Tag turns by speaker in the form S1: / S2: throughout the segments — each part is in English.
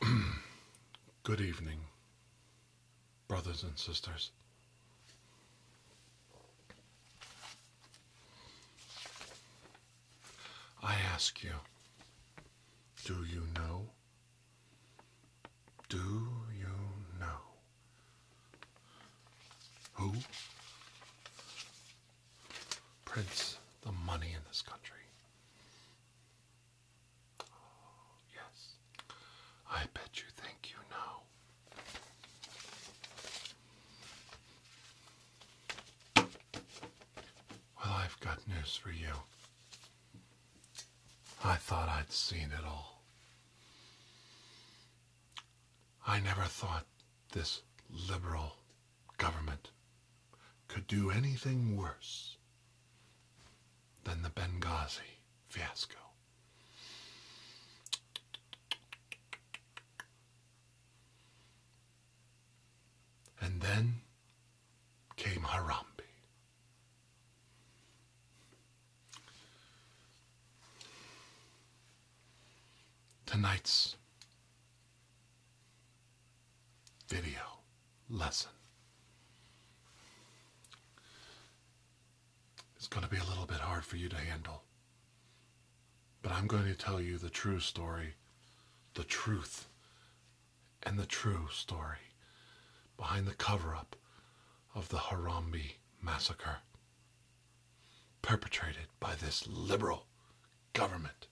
S1: Good evening, brothers and sisters. I ask you, do you know? Do you know who Prince, the money in this country. Oh, yes. I bet you think you know. Well, I've got news for you. I thought I'd seen it all. I never thought this liberal government could do anything worse than the Benghazi fiasco. And then came Harambe. Tonight's video lesson. It's going to be a little bit hard for you to handle, but I'm going to tell you the true story, the truth, and the true story behind the cover up of the Harambe massacre perpetrated by this liberal government.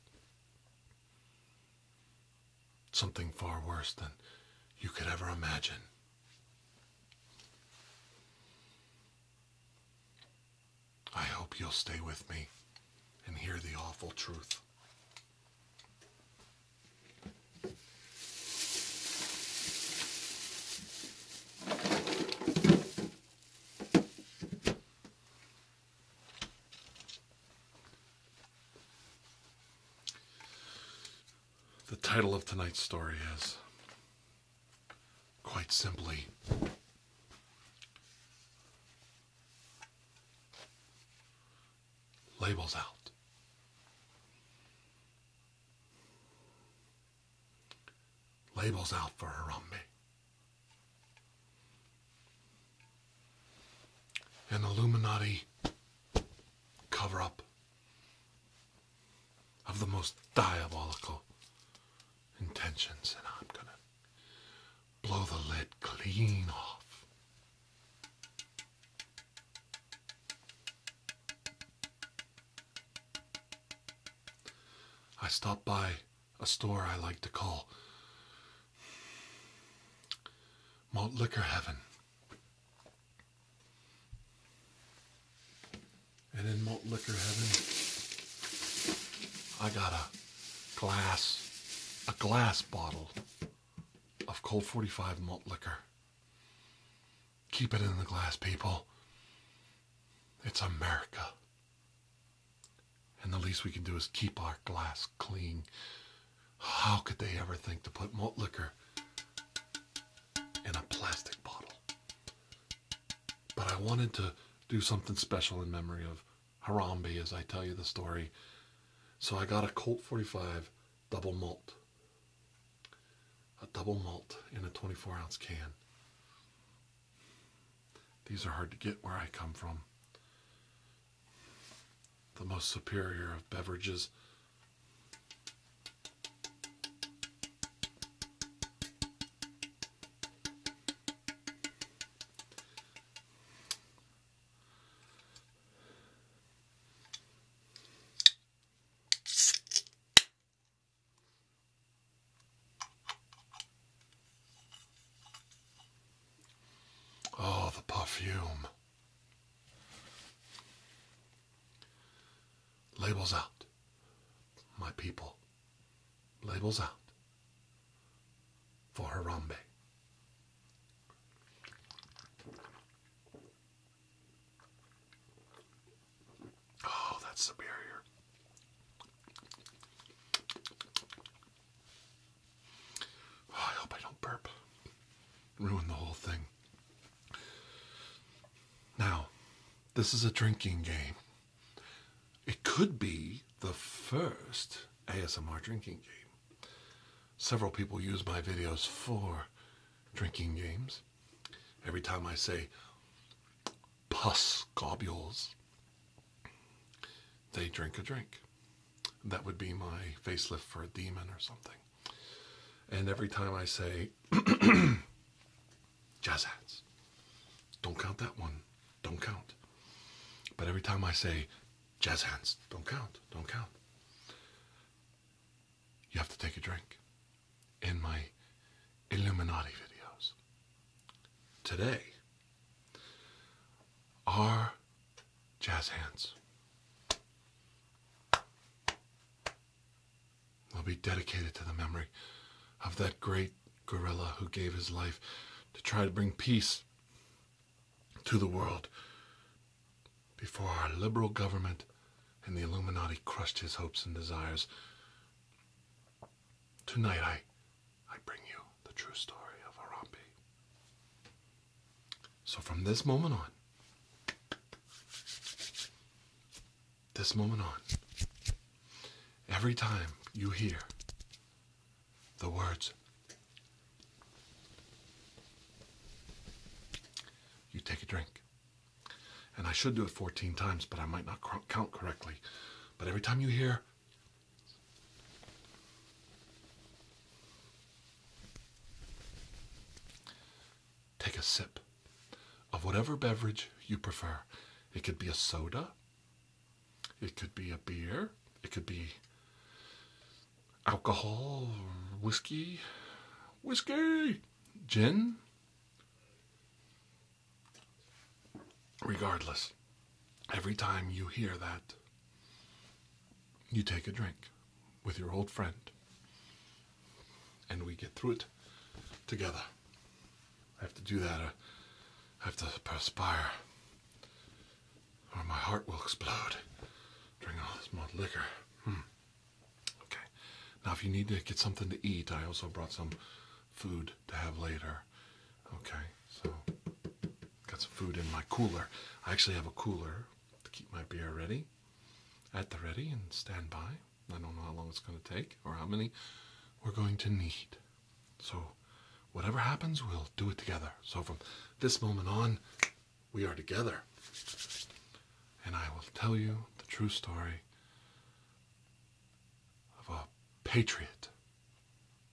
S1: Something far worse than you could ever imagine. I hope you'll stay with me and hear the awful truth. The title of tonight's story is quite simply Labels Out. Labels out for her Harambe. An Illuminati cover up of the most diabolical intentions, and I'm gonna blow the lid clean off. I stopped by a store I like to call Malt Liquor Heaven. And in Malt Liquor Heaven, I got a glass, a glass bottle of cold 45 malt liquor. Keep it in the glass, people. It's America. And the least we can do is keep our glass clean. How could they ever think to put malt liquor in a plastic bottle? But I wanted to do something special in memory of Harambe as I tell you the story. So I got a Colt 45 double malt. A double malt in a 24 ounce can. These are hard to get where I come from the most superior of beverages. Oh, the perfume. Labels out, my people. Labels out for Harambe. Oh, that's superior. Oh, I hope I don't burp. Ruin the whole thing. Now, this is a drinking game. It could be the first ASMR drinking game. Several people use my videos for drinking games. Every time I say pus globules, they drink a drink. That would be my facelift for a demon or something. And every time I say, jazz hands, don't count that one, don't count. But every time I say, jazz hands, don't count, don't count, you have to take a drink. In my Illuminati videos. Today, are jazz hands. They'll be dedicated to the memory of that great guerrilla who gave his life to try to bring peace to the world before our liberal government and the Illuminati crushed his hopes and desires. Tonight I I bring you the true story of Harambe. So from this moment on, this moment on, every time you hear the words, you take a drink. And I should do it 14 times, but I might not count correctly. But every time you hear Take a sip of whatever beverage you prefer. It could be a soda, it could be a beer, it could be alcohol, whiskey, whiskey, gin. Regardless, Every time you hear that, you take a drink with your old friend and we get through it together. I have to do that, uh, I have to perspire, or my heart will explode. Drink all this malt liquor. Hmm. Okay. Now, if you need to get something to eat, I also brought some food to have later. Okay, so got some food in my cooler. I actually have a cooler to keep my beer ready, at the ready and stand by. I don't know how long it's going to take or how many we're going to need. So, whatever happens, we'll do it together. So, from this moment on, we are together. And I will tell you the true story of a patriot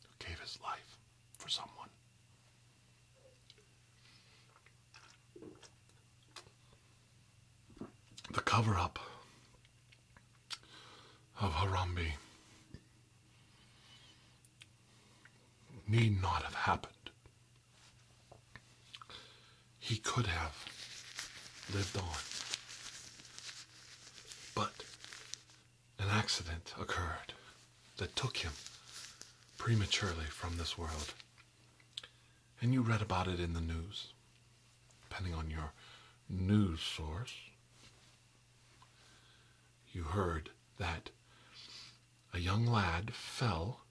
S1: who gave his life for someone. The cover up of Harambe need not have happened. He could have lived on, but an accident occurred that took him prematurely from this world. And you read about it in the news, depending on your news source. You heard that a young lad fell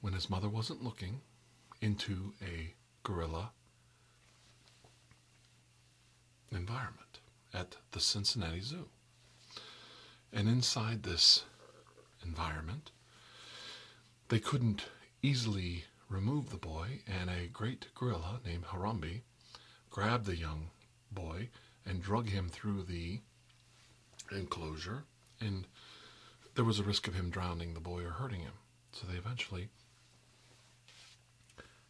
S1: when his mother wasn't looking into a gorilla environment at the Cincinnati Zoo. And inside this environment, they couldn't easily remove the boy, and a great gorilla named Harambe grabbed the young boy and drug him through the enclosure, and there was a risk of him drowning the boy or hurting him. So they eventually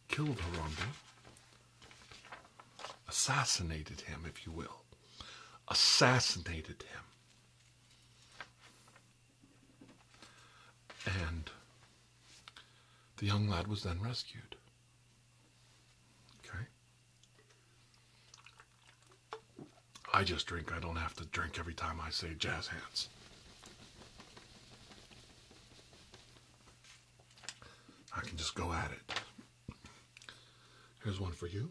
S1: killed Harambe, assassinated him, if you will, assassinated him. And the young lad was then rescued. Okay? I just drink, I don't have to drink every time I say jazz hands. I can just go at it. Here's one for you.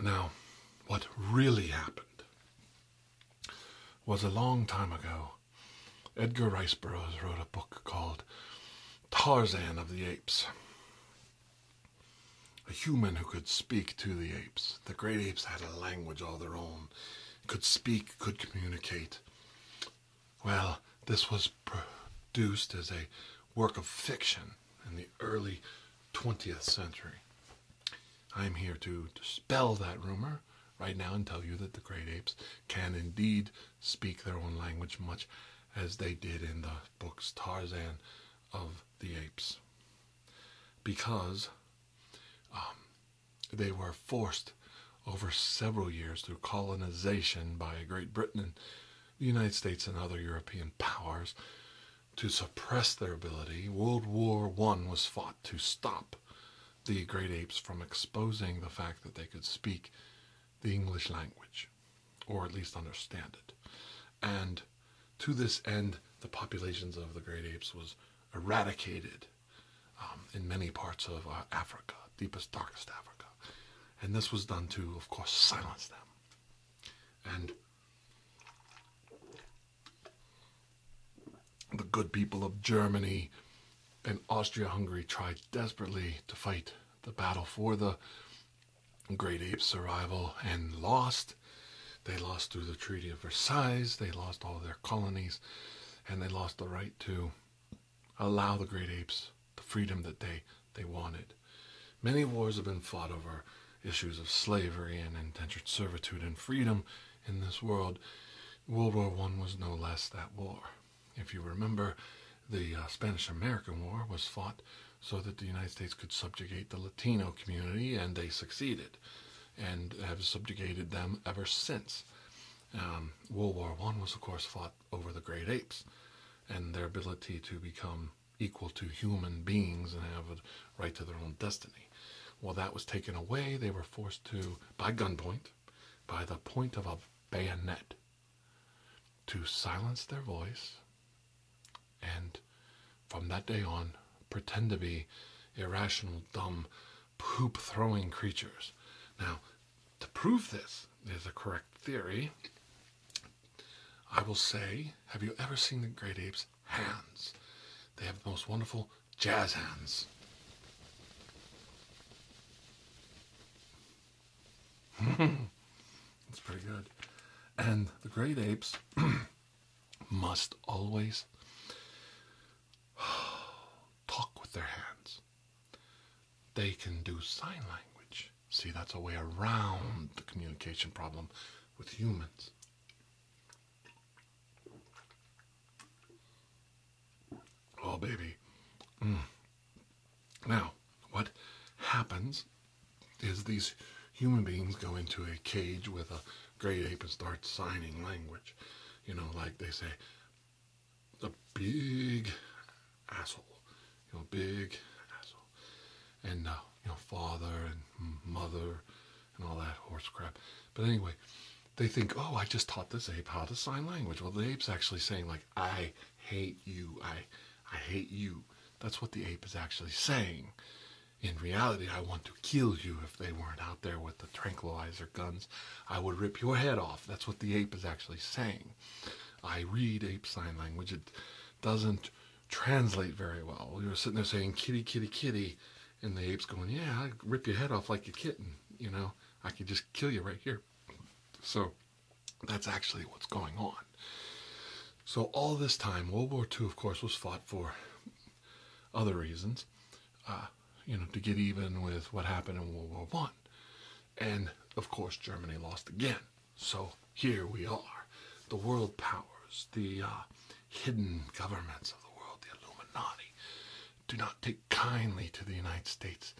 S1: Now, what really happened was a long time ago, Edgar Rice Burroughs wrote a book called Tarzan of the Apes. A human who could speak to the apes. The great apes had a language all their own could speak, could communicate. Well, this was produced as a work of fiction in the early 20th century. I'm here to dispel that rumor right now and tell you that the great apes can indeed speak their own language much as they did in the books Tarzan of the Apes. Because um, they were forced over several years through colonization by Great Britain and the United States and other European powers to suppress their ability. World War One was fought to stop the great apes from exposing the fact that they could speak the English language, or at least understand it. And to this end, the populations of the great apes was eradicated um, in many parts of uh, Africa, deepest, darkest Africa. And this was done to, of course, silence them. And the good people of Germany and Austria-Hungary tried desperately to fight the battle for the great Apes' survival and lost they lost through the Treaty of Versailles, they lost all their colonies, and they lost the right to allow the great apes the freedom that they, they wanted. Many wars have been fought over issues of slavery and indentured servitude and freedom in this world. World War I was no less that war. If you remember, the uh, Spanish American War was fought so that the United States could subjugate the Latino community, and they succeeded and have subjugated them ever since. Um, World War One was, of course, fought over the great apes and their ability to become equal to human beings and have a right to their own destiny. Well, that was taken away. They were forced to, by gunpoint, by the point of a bayonet, to silence their voice. And from that day on, pretend to be irrational, dumb, poop throwing creatures. Now, to prove this is a correct theory, I will say, have you ever seen the great apes' hands? They have the most wonderful jazz hands. That's pretty good. And the great apes must always talk with their hands. They can do sign language. See, that's a way around the communication problem with humans. Oh, baby. Mm. Now, what happens is these human beings go into a cage with a Great ape and start signing language. You know, like they say, a big asshole. You know, big asshole. And, uh, you know, father and mother and all that horse crap. But anyway, they think, oh, I just taught this ape how to sign language. Well, the ape's actually saying, like, I hate you. I, I hate you. That's what the ape is actually saying. In reality, I want to kill you if they weren't out there with the tranquilizer guns. I would rip your head off. That's what the ape is actually saying. I read ape sign language. It doesn't translate very well. We were sitting there saying kitty, kitty, kitty, and the ape's going, yeah, rip your head off like a kitten. You know, I could just kill you right here. So that's actually what's going on. So all this time, World War II, of course, was fought for other reasons, uh, you know, to get even with what happened in World War One, and of course Germany lost again. So here we are, the world powers, the uh, hidden governments of the world, the Illuminati, do not take kindly to the United States,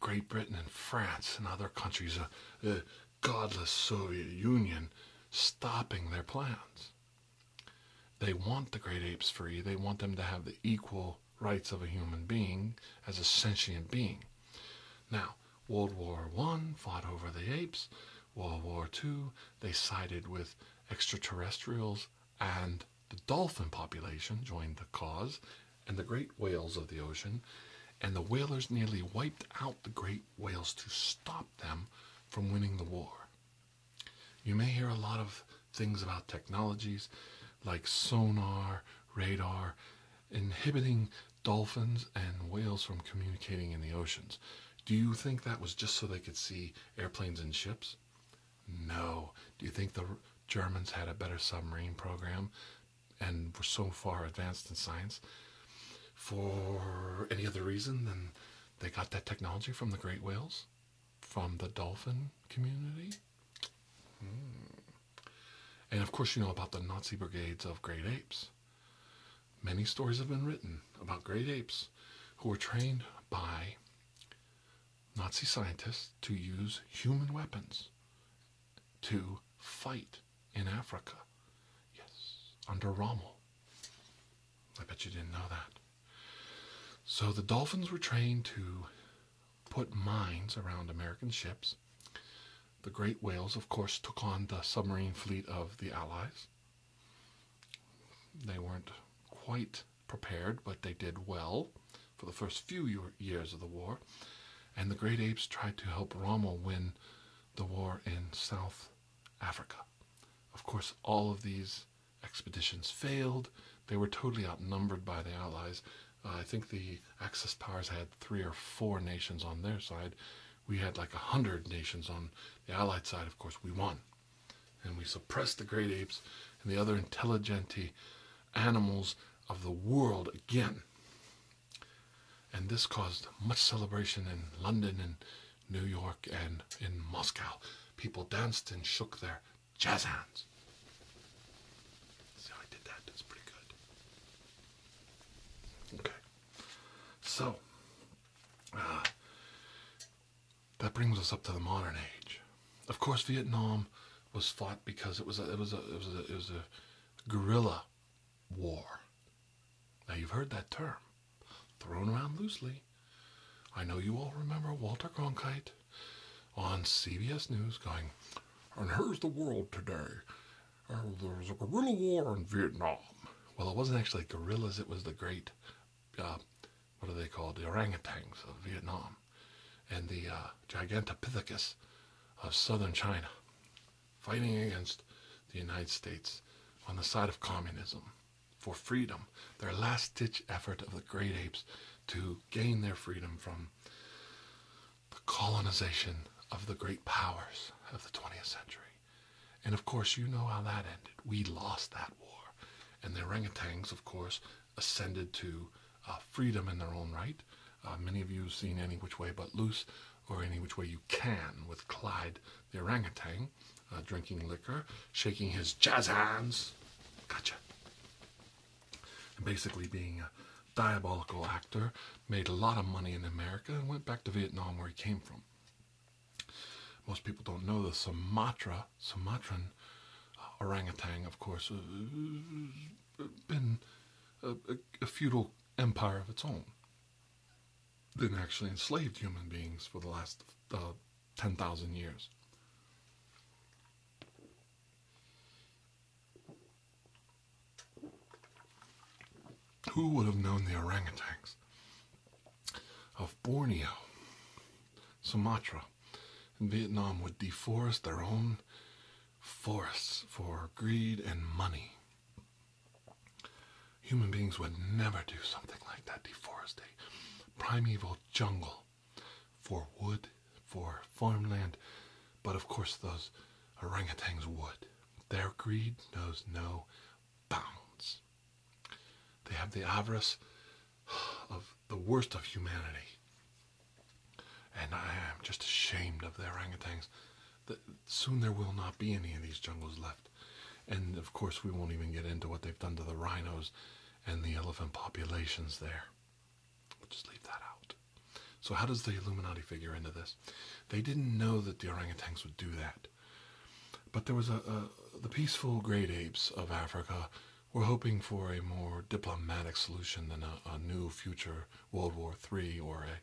S1: Great Britain, and France, and other countries. Uh, uh godless Soviet Union stopping their plans. They want the great apes free. They want them to have the equal rights of a human being as a sentient being. Now, World War One fought over the apes. World War Two, they sided with extraterrestrials and the dolphin population joined the cause and the great whales of the ocean. And the whalers nearly wiped out the great whales to stop them from winning the war. You may hear a lot of things about technologies like sonar, radar, inhibiting dolphins and whales from communicating in the oceans. Do you think that was just so they could see airplanes and ships? No. Do you think the Germans had a better submarine program and were so far advanced in science for any other reason than they got that technology from the great whales? from the dolphin community. Hmm. And of course, you know about the Nazi brigades of great apes. Many stories have been written about great apes who were trained by Nazi scientists to use human weapons to fight in Africa. Yes, under Rommel. I bet you didn't know that. So the dolphins were trained to put mines around American ships. The great whales, of course, took on the submarine fleet of the Allies. They weren't quite prepared, but they did well for the first few years of the war. And the great apes tried to help Rommel win the war in South Africa. Of course, all of these expeditions failed. They were totally outnumbered by the Allies. Uh, I think the Axis powers had three or four nations on their side. We had like a hundred nations on the Allied side. Of course, we won. And we suppressed the great apes and the other intelligent animals of the world again. And this caused much celebration in London and New York and in Moscow. People danced and shook their jazz hands. See how I did that? That's pretty good. Okay. So, uh, that brings us up to the modern age. Of course, Vietnam was fought because it was it was a, it was a guerrilla war. Now you've heard that term thrown around loosely. I know you all remember Walter Cronkite on CBS News going, and here's the world today. Oh, there was a guerrilla war in Vietnam. Well, it wasn't actually guerrillas, it was the great, uh, what are they called? The orangutans of Vietnam and the uh, Gigantopithecus of southern China fighting against the United States on the side of communism for freedom, their last ditch effort of the great apes to gain their freedom from the colonization of the great powers of the 20th century. And of course, you know how that ended. We lost that war. And the orangutans, of course, ascended to uh, freedom in their own right. Uh, many of you have seen Any Which Way But Loose or Any Which Way You Can with Clyde the orangutan, uh, drinking, liquor, shaking his jazz hands. Gotcha. And basically being a diabolical actor, made a lot of money in America, and went back to Vietnam where he came from. Most people don't know the Sumatra, Sumatran uh, orangutan, of course, uh, been a, feudal empire of its own. Then actually enslaved human beings for the last 10,000 years. Who would have known the orangutans of Borneo, Sumatra, and Vietnam would deforest their own forests for greed and money? Human beings would never do something like that, deforestate primeval jungle for wood, for farmland, but of course those orangutans would. Their greed knows no bounds. They have the avarice of the worst of humanity. And I am just ashamed of the orangutans. That soon there will not be any of these jungles left. And of course, we won't even get into what they've done to the rhinos and the elephant populations there. We'll just leave that out. So, how does the Illuminati figure into this? They didn't know that the orangutans would do that. But there was a, the peaceful great apes of Africa were hoping for a more diplomatic solution than a, a new future World War III or a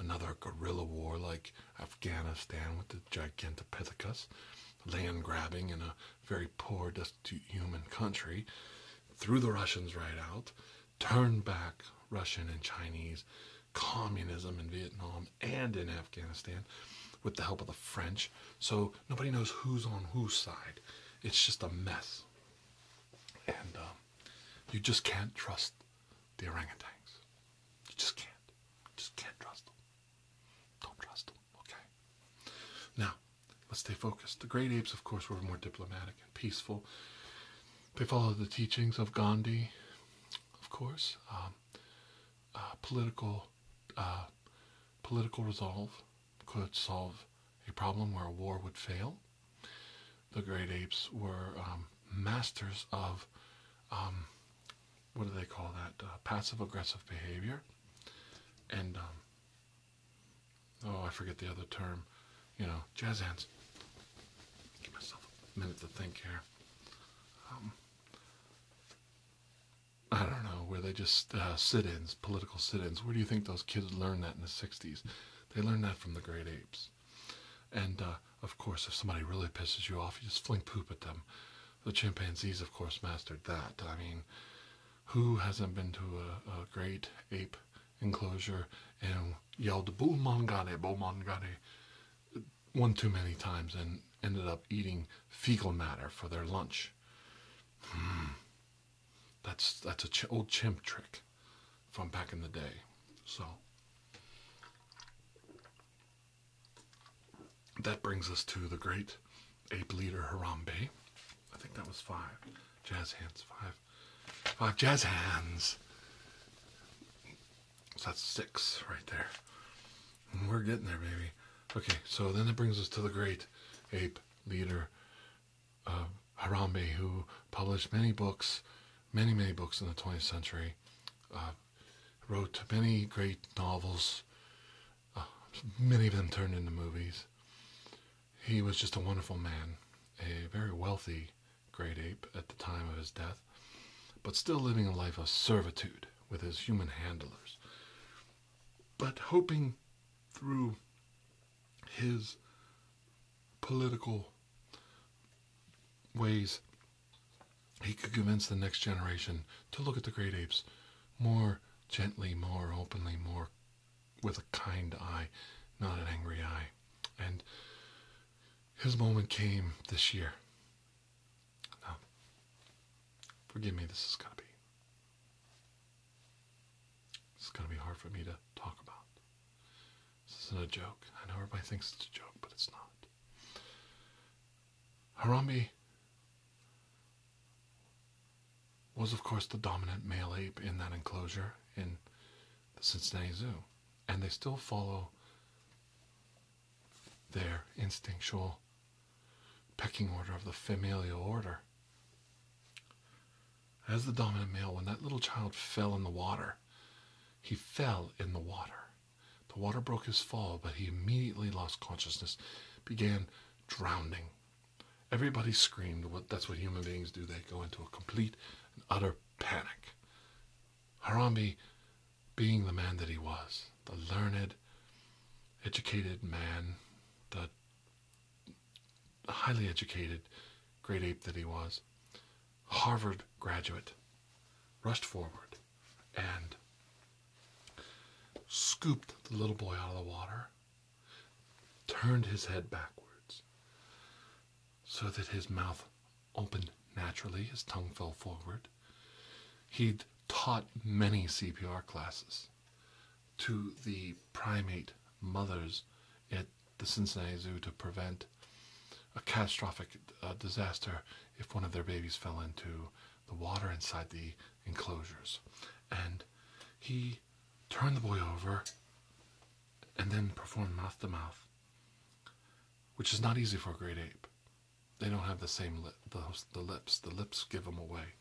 S1: another guerrilla war like Afghanistan with the Gigantopithecus, land grabbing and a very poor, destitute human country, threw the Russians right out, turned back Russian and Chinese communism in Vietnam and in Afghanistan with the help of the French. So nobody knows who's on whose side. It's just a mess. And um, you just can't trust the orangutans. You just can't. just can't trust them. Don't trust them. Okay. Now, let's stay focused. The great apes, of course, were more diplomatic and peaceful. They followed the teachings of Gandhi, of course, um, uh, political. Uh, political resolve could solve a problem where a war would fail. The great apes were um, masters of um, what do they call that? Uh, passive aggressive behavior. And, um, oh, I forget the other term. You know, jazz hands. Give myself a minute to think here. Um, I don't know, Were they just uh, sit ins, political sit ins. Where do you think those kids learned that in the 60s? They learned that from the great apes. And, uh, of course, if somebody really pisses you off, you just fling poop at them the chimpanzees, of course, mastered that. I mean, who hasn't been to a, great ape enclosure and yelled "Bomangane, Bomangane" one too many times and ended up eating fecal matter for their lunch? Hmm. That's that's a old chimp trick from back in the day. So. That brings us to the great ape leader Harambe. I think that was five. Jazz hands, five. Five jazz hands. So that's six right there. we're getting there, baby. Okay, so then it brings us to the great ape leader uh, Harambe, who published many books, many, many books in the 20th century, uh, wrote many great novels, many of them turned into movies. He was just a wonderful man, a very wealthy great ape at the time of his death, but still living a life of servitude with his human handlers. But hoping through his political ways, he could convince the next generation to look at the great apes more gently, more openly, more with a kind eye, not an angry eye. And his moment came this year. Now, forgive me, this is going to be. This is going to be hard for me to talk about. This isn't a joke. I know everybody thinks it's a joke, but it's not. Harambe was, of course, the dominant male ape in that enclosure in the Cincinnati Zoo, and they still follow their instinctual pecking order of the familial order. As the dominant male, when that little child fell in the water, he fell in the water. The water broke his fall, but he immediately lost consciousness, began drowning. Everybody screamed. What that's what human beings do. They go into a complete and utter panic. Harambe, being the man that he was, the learned, educated man, the highly educated great ape that he was, Harvard graduate, rushed forward and scooped the little boy out of the water, turned his head backwards so that his mouth opened naturally, his tongue fell forward. He'd taught many CPR classes to the primate mothers at the Cincinnati Zoo to prevent a catastrophic uh, disaster if one of their babies fell into the water inside the enclosures. And he turned the boy over and then performed mouth to mouth, which is not easy for a great ape. They don't have the same lip, the, the lips. The lips give them away.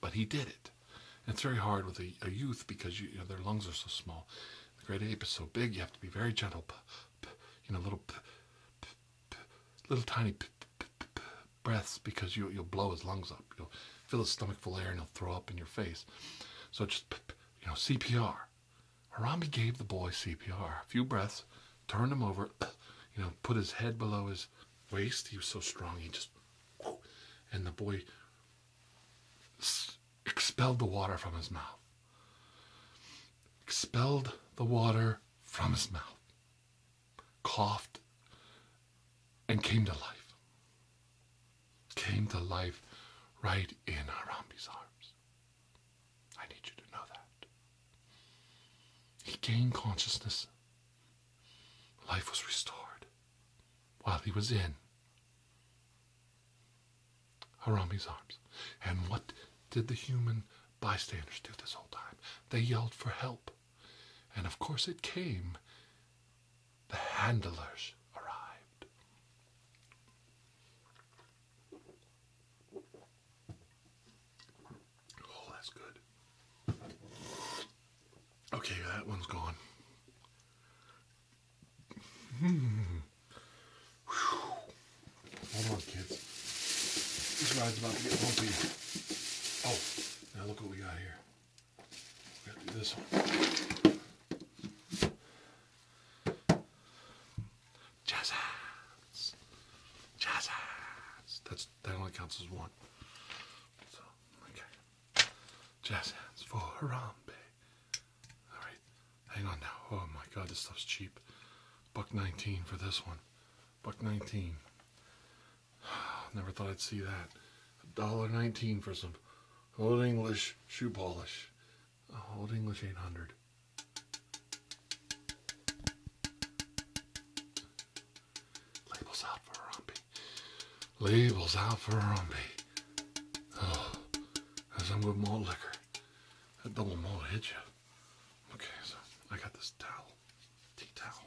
S1: But he did it. it's very hard with a, youth because you, know, their lungs are so small. The great ape is so big, you have to be very gentle. you know, little, little tiny breaths because you, you'll blow his lungs up. You'll fill his stomach full of air and he'll throw up in your face. So just, you know, CPR. Harambe gave the boy CPR. A few breaths, turned him over, you know, put his head below his waist. He was so strong, he just, and the boy expelled the water from his mouth. Expelled the water from his mouth coughed, and came to life. Came to life right in Harambe's arms. I need you to know that. He gained consciousness. Life was restored while he was in Harambe's arms. And what did the human bystanders do this whole time? They yelled for help. And of course it came. The handlers arrived. Oh, that's good. Okay, that one's gone. Mm. Hold on, kids. This ride's about to get bumpy. Oh. Now look what we got here. We got to do this one. Jazz hands. Jazz hands. That's that only counts as one. So okay. Jazz hands for Harambe. Alright. Hang on now. Oh my god, this stuff's cheap. Buck nineteen for this one. Buck nineteen. Never thought I'd see that. A dollar nineteen for some old English shoe polish. Old English 800. Labels out for Rumpy. Labels out for Rumpy. Oh, I'm good malt liquor. That double malt hit you. Okay, so I got this towel, tea towel.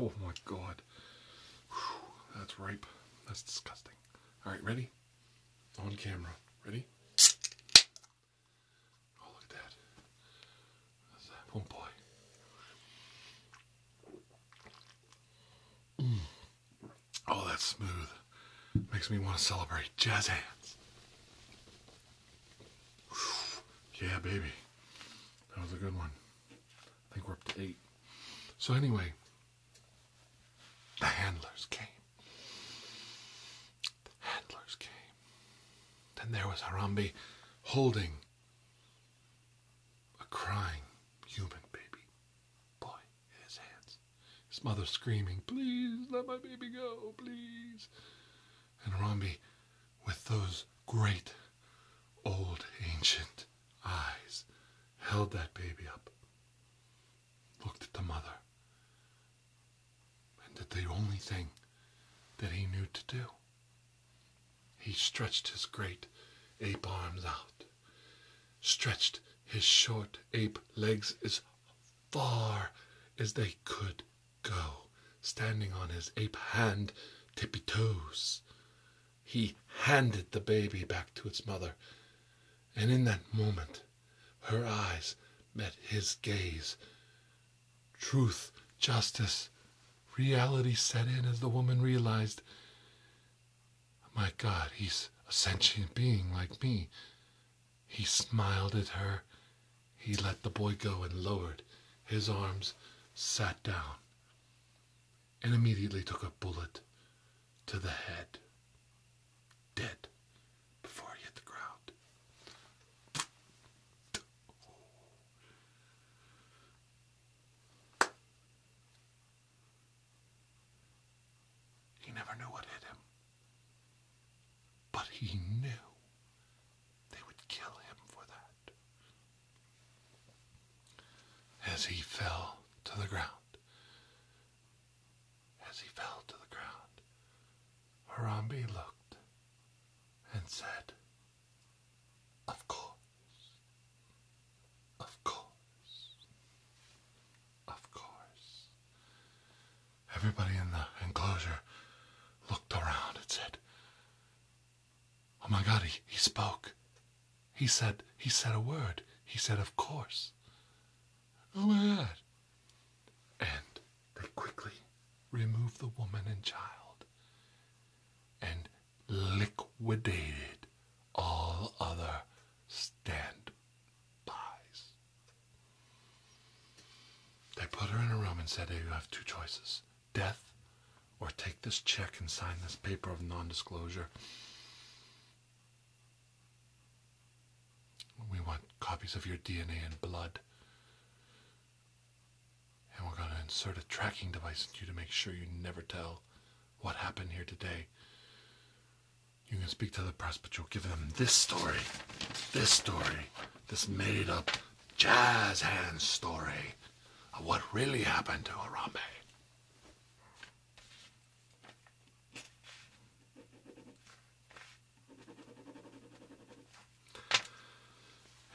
S1: Oh my god. that's ripe. That's disgusting. Alright, ready? On camera. Ready? Oh, look at that. oh boy. Mm. Oh, that's smooth. Makes me want to celebrate. Jazz hands. Yeah, baby. That was a good one. I think we're up to eight. So, anyway, the handlers came. The handlers came. Then there was Harambe holding a crying human baby boy in his hands. His mother screaming, Please let my baby go, please and Romney with those great old ancient eyes held that baby up, looked at the mother, and did the only thing that he knew to do. He stretched his great ape arms out, stretched his short ape legs as far as they could go, standing on his ape hand, tippy toes. He handed the baby back to its mother, and in that moment her eyes met his gaze. Truth, justice, reality set in as the woman realized my God, he's a sentient being like me. He smiled at her. He let the boy go and lowered his arms, sat down, and immediately took a bullet to the head. Dead before he hit the ground. He never knew what hit him. But he knew they would kill him for that. As he fell to the ground, as he fell to the ground, Harambe looked and said, Of course, of course, of course. Everybody in the enclosure looked around and said, Oh my God, he, he spoke. He said, he said a word. He said, of course. Oh my God. And they quickly removed the woman and child and liquidated all other standbys. They put her in a room and said, You have two choices death, or take this check and sign this paper of non disclosure. We want copies of your DNA and blood. And we're going to insert a tracking device in you to make sure you never tell what happened here today. You can speak to the press, but you'll give them this story. This story this made up jazz hands story of what really happened to Harambe.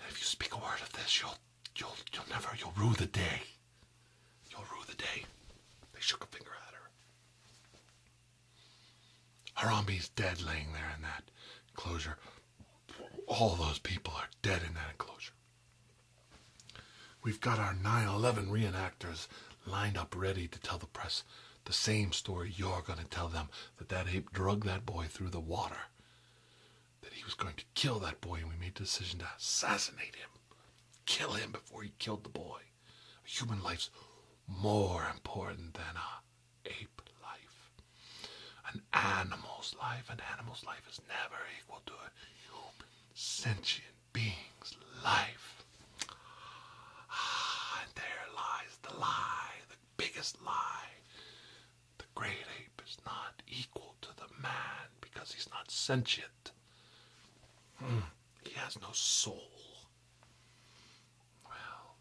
S1: If you speak a word of this, you'll you'll you'll never you'll rue the day. You'll rue the day. They shook a finger at her. Harambe's dead laying there in that enclosure. All those people are dead in that enclosure. We've got our nine eleven reenactors lined up ready to tell the press the same story you're going to tell them that that ape drugged that boy through the water, that he was going to kill that boy, and we made the decision to assassinate him, kill him before he killed the boy. A human life's more important than a ape life, an animal's life. An animal's life is never equal to a human sentient being's life. Ah, there lies the lie, the biggest lie. The great ape is not equal to the man because he's not sentient. Hmm, he has no soul. Well,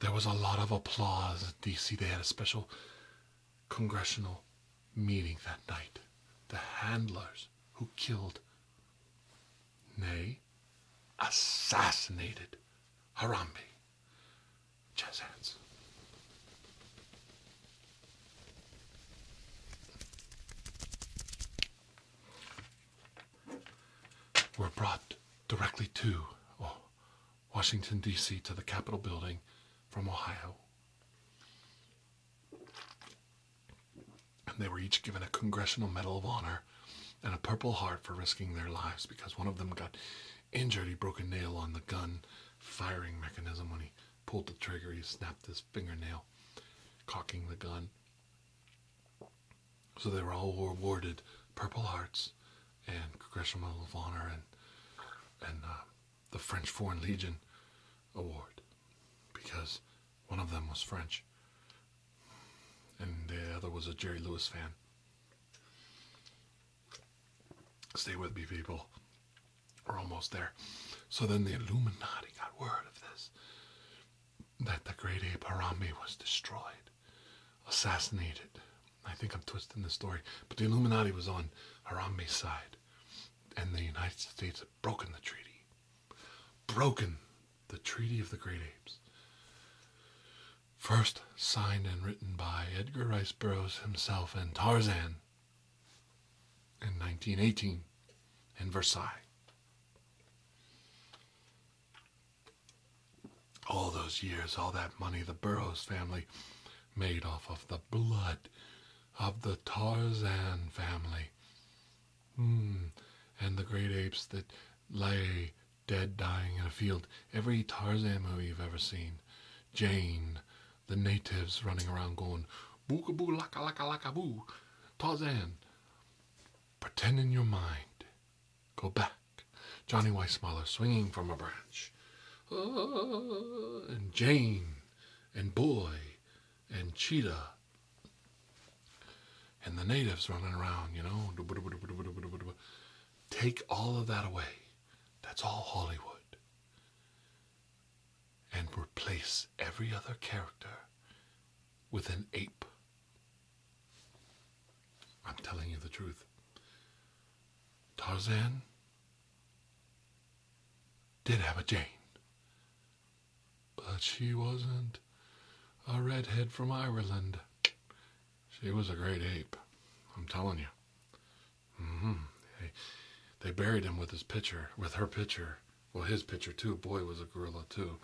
S1: there was a lot of applause in D.C. They had a special congressional meeting that night. The handlers who killed, nay, assassinated Harambe. Jazz hands were brought directly to oh, Washington, D.C., to the Capitol building from Ohio. And they were each given a Congressional Medal of Honor and a Purple Heart for risking their lives because one of them got injured. He broke a nail on the gun firing mechanism when he pulled the trigger. He snapped his fingernail, cocking the gun. So they were all awarded Purple Hearts and Congressional Medal of Honor and and uh, the French Foreign Legion award because one of them was French and the other was a Jerry Lewis fan. Stay with me, people. We're almost there. So then the Illuminati got word of this that the great ape Harambe was destroyed, assassinated. I think I'm twisting the story, but the Illuminati was on Harambe's side, and the United States had broken the treaty. Broken the Treaty of the Great Apes. First signed and written by Edgar Rice Burroughs himself and Tarzan in 1918 in Versailles all those years, all that money the Burroughs family made off of the blood of the Tarzan family. Mm. And the great apes that lay dead, dying in a field. Every Tarzan movie you've ever seen. Jane, the natives running around going, bookaboo, laka, laka, laka, boo, Tarzan. Pretend in your mind Go back. Johnny Weissmuller swinging from a branch. Ah, and Jane and Boy and Cheetah and the natives running around, you know. Take all of that away. That's all Hollywood. And replace every other character with an ape I'm telling you the truth. Tarzan did have a Jane, but she wasn't a redhead from Ireland. She was a great ape. I'm telling you. Mm-hmm. they buried him with his pitcher, with her pitcher, Well, his pitcher too. Boy was a gorilla too.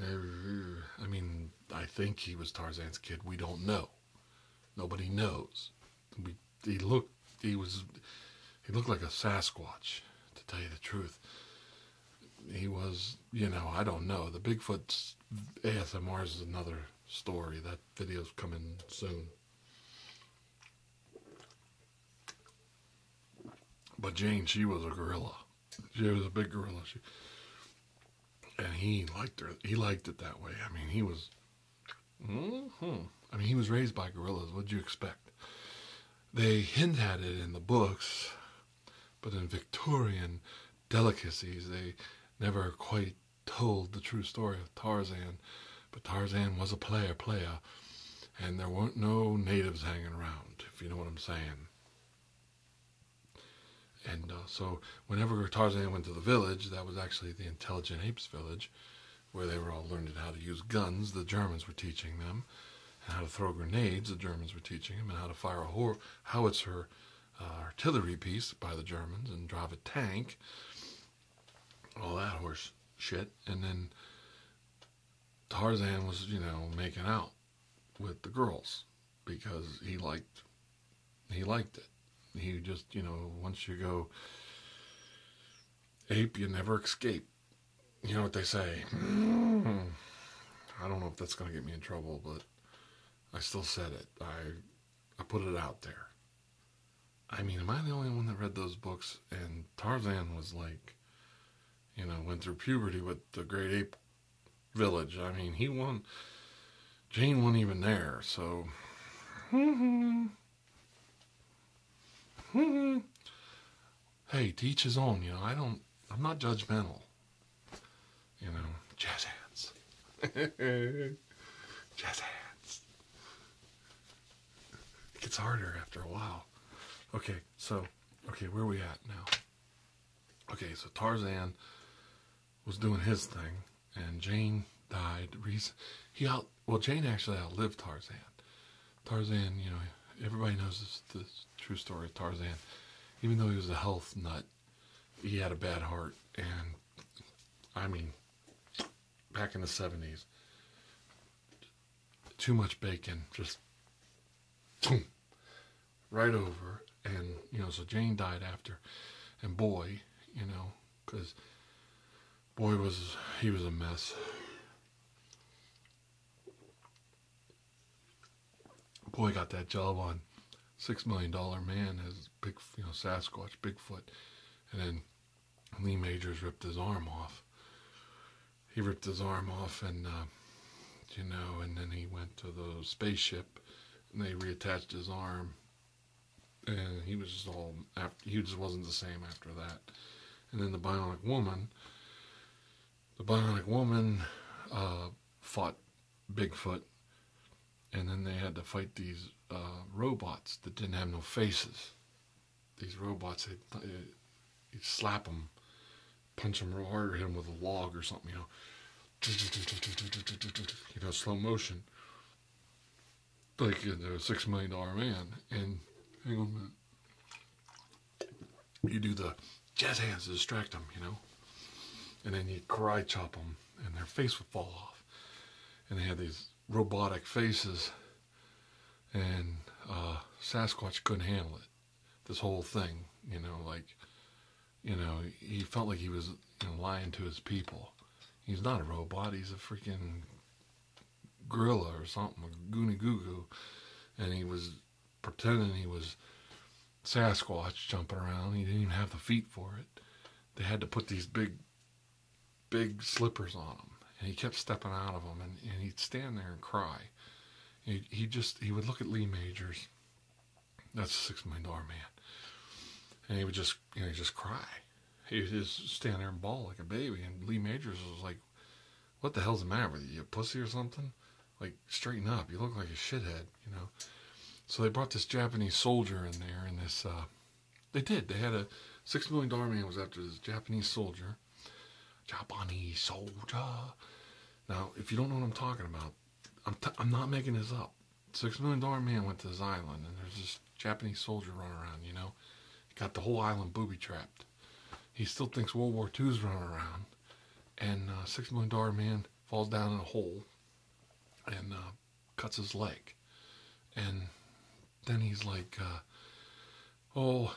S1: Uh, I mean, I think he was Tarzan's kid. We don't know. Nobody knows. he looked. He was. He looked like a Sasquatch, to tell you the truth. He was. You know, I don't know. The Bigfoot ASMR is another story. That video's coming soon. But Jane, she was a gorilla. She was a big gorilla. She, and he liked her. He liked it that way. I mean, he was. Mm-hmm. I mean, he was raised by gorillas. What'd you expect? They hint at it in the books, but in Victorian delicacies, they never quite told the true story of Tarzan. But Tarzan was a player, player, and there weren't no natives hanging around, if you know what I'm saying. And uh, so, whenever Tarzan went to the village, that was actually the intelligent apes village, where they were all learning how to use guns, the Germans were teaching them, how to throw grenades, the Germans were teaching them, how to fire a howitzer uh, artillery piece by the Germans and drive a tank, all that horse shit. And then Tarzan was, you know, making out with the girls because he liked he liked it. He just, you know, once you go ape, you never escape. You know what they say. Hmm, I don't know if that's going to get me in trouble, but I still said it. I I put it out there. I mean, am I the only one that read those books? And Tarzan was like, you know, went through puberty with the great ape village. I mean, he won. Jane wasn't even there, so. hey, teach his own. You know, I don't. I'm not judgmental. You know, jazz hands. jazz hands. It gets harder after a while. Okay, so okay, where we at now? Okay, so Tarzan was doing his thing, and Jane died. He out well, Jane actually outlived Tarzan. Tarzan, you know, everybody knows the true story of Tarzan. Even though he was a health nut, he had a bad heart, and I mean, back in the seventies, too much bacon just right over. And, you know, so Jane died after. And boy, you know, because boy was, he was a mess. Boy got that job on Six Million Dollar Man as big, you know, Sasquatch, Bigfoot. And then Lee Majors ripped his arm off. He ripped his arm off and, uh, you know, and then he went to the spaceship and they reattached his arm. And he was just all, he just wasn't the same after that. And then the Bionic Woman, the Bionic Woman uh, fought Bigfoot, and then they had to fight these uh, robots that didn't have no faces. These robots, they, you slap them, punch them real hard, hit them with a log or something, you know you know, slow motion, like in the Six Million Dollar Man. And hang on a minute. You do the jazz hands to distract them, you know? And then you cry chop them, and their face would fall off. And they had these robotic faces, and uh, Sasquatch couldn't handle it. This whole thing, you know, like you know, he felt like he was lying to his people. He's not a robot. He's a freaking gorilla or something, a goony goo goo. And he was pretending he was Sasquatch jumping around. He didn't even have the feet for it. They had to put these big, big slippers on him. And he kept stepping out of them. And, and he'd stand there and cry. He, he just, he would look at Lee Majors that's a six million dollar man. And he would just, you know, just cry. He would just stand there and bawl like a baby. And Lee Majors was like, "What the hell's the matter with you? You pussy or something? Like straighten up. You look like a shithead, you know." So they brought this Japanese soldier in there, and this, uh, they did. They had a six million dollar man was after this Japanese soldier. Japanese soldier. Now, if you don't know what I'm talking about, I'm, t- I'm not making this up. Six million dollar man went to this island, and there's this Japanese soldier running around. You know, got the whole island booby trapped. He still thinks World War Two is running around, and uh, six million dollar man falls down in a hole, and uh, cuts his leg, and then he's like, uh, "Oh,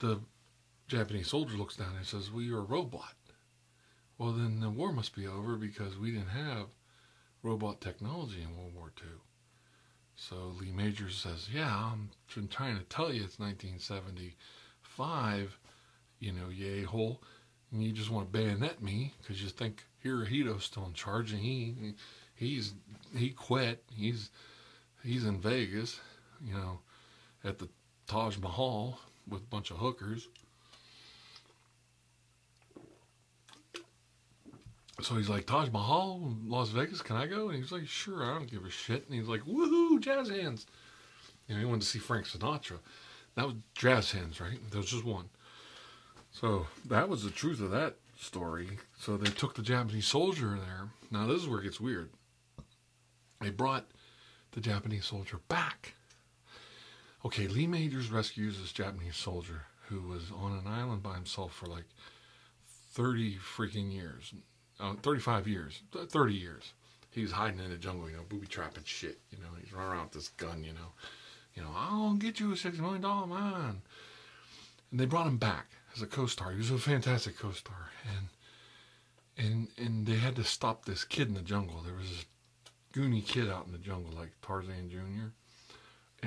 S1: the Japanese soldier looks down and says, well, are a robot." well, then the war must be over because we didn't have robot technology in World War II. So Lee Major says, Yeah, I'm trying to tell you it's 1975, you know, yay hole. And you just want to bayonet me because you think Hirohito's still in charge and he, he's, he quit. He's, he's in Vegas, you know, at the Taj Mahal with a bunch of hookers. So he's like, Taj Mahal, Las Vegas, can I go? And he's like, sure, I don't give a shit. And he's like, Whoo, jazz hands. You know, he wanted to see Frank Sinatra. That was jazz hands, right? There was just one. So that was the truth of that story. So they took the Japanese soldier there. Now, this is where it gets weird. They brought the Japanese soldier back Okay, Lee Majors rescues this Japanese soldier who was on an island by himself for like 30 freaking years. 35 years. 30 years. He was hiding in the jungle, you know, booby trapping shit. You know, he's running around with this gun, you know. You know, I'll get you a $6 million man. And they brought him back as a co-star. He was a fantastic co-star. And and and they had to stop this kid in the jungle. There was this goony kid out in the jungle like Tarzan Jr.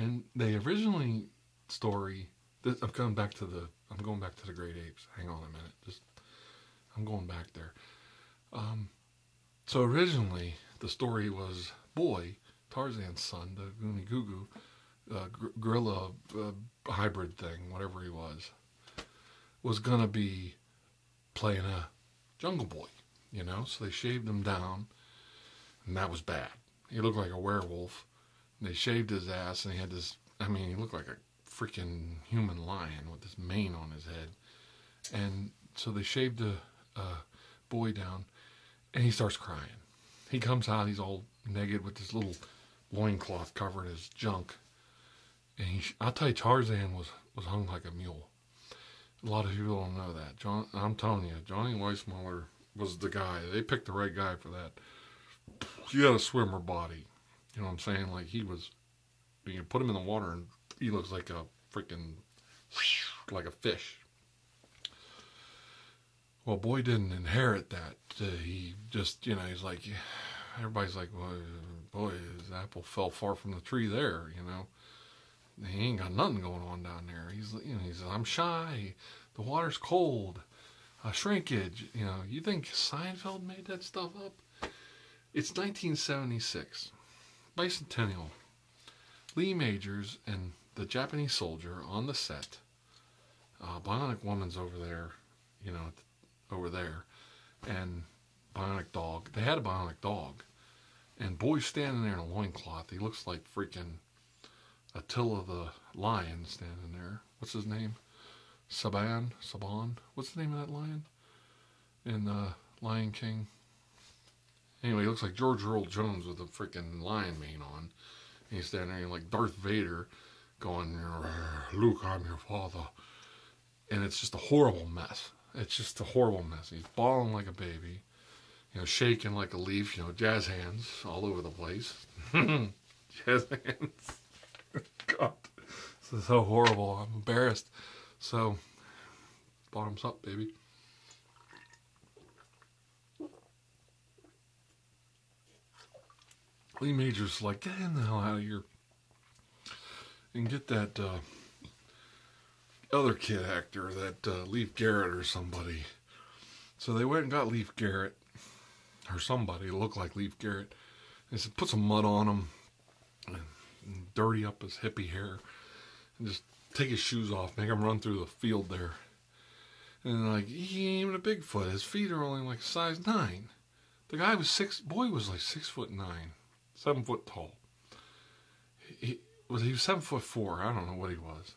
S1: And they originally story. This, I'm coming back to the. I'm going back to the great apes. Hang on a minute. Just. I'm going back there. Um, so originally the story was boy Tarzan's son, the Goony Goo uh, gorilla uh, hybrid thing, whatever he was, was gonna be playing a Jungle Boy, you know. So they shaved him down, and that was bad. He looked like a werewolf. They shaved his ass, and he had this. I mean, he looked like a freaking human lion with this mane on his head. And so they shaved the uh, boy down, and he starts crying. He comes out. He's all naked with this little loincloth covering his junk. And he, I'll tell you, Tarzan was was hung like a mule. A lot of people don't know that. I'm telling you, Johnny Weissmuller was the guy. They picked the right guy for that. He had a swimmer body. You know what I'm saying? Like he was. You put him in the water and he looks like a freaking like a fish. Well, boy didn't inherit that. Uh, he just, you know, he's like, everybody's like, boy, his apple fell far from the tree there, you know he ain't got nothing going on down there. He's, you know, he says, I'm shy. The water's cold. Uh, shrinkage. You know, you think Seinfeld made that stuff up? It's 1976. Bicentennial. Lee Majors and the Japanese soldier on the set. Uh, bionic Woman's over there, you know, over there. And bionic dog. They had a bionic dog. And boy, standing there in a loin cloth, He looks like freaking Attila the lion standing there. What's his name? Saban? Saban? What's the name of that lion? In the uh, Lion King? Anyway, he looks like George Earl Jones with a freaking lion mane on. And he's standing there like Darth Vader going, Luke, I'm your father and it's just a horrible mess. It's just a horrible mess. He's bawling like a baby, you know, shaking like a leaf, you know, jazz hands all over the place. jazz hands. God, this is so horrible. I'm embarrassed. So, bottoms up, baby. Lee Major's like, get in the hell out of here and get that uh, other kid actor, that uh, Leaf Garrett or somebody. So they went and got Leaf Garrett, or somebody looked like Leaf Garrett. They said, put some mud on him, and, dirty up his hippie hair, and just take his shoes off, make him run through the field there. And like, he ain't even a Bigfoot. His feet are only like size nine. The guy was six, boy was like six foot nine, seven foot tall. He was he was seven foot four. I don't know what he was.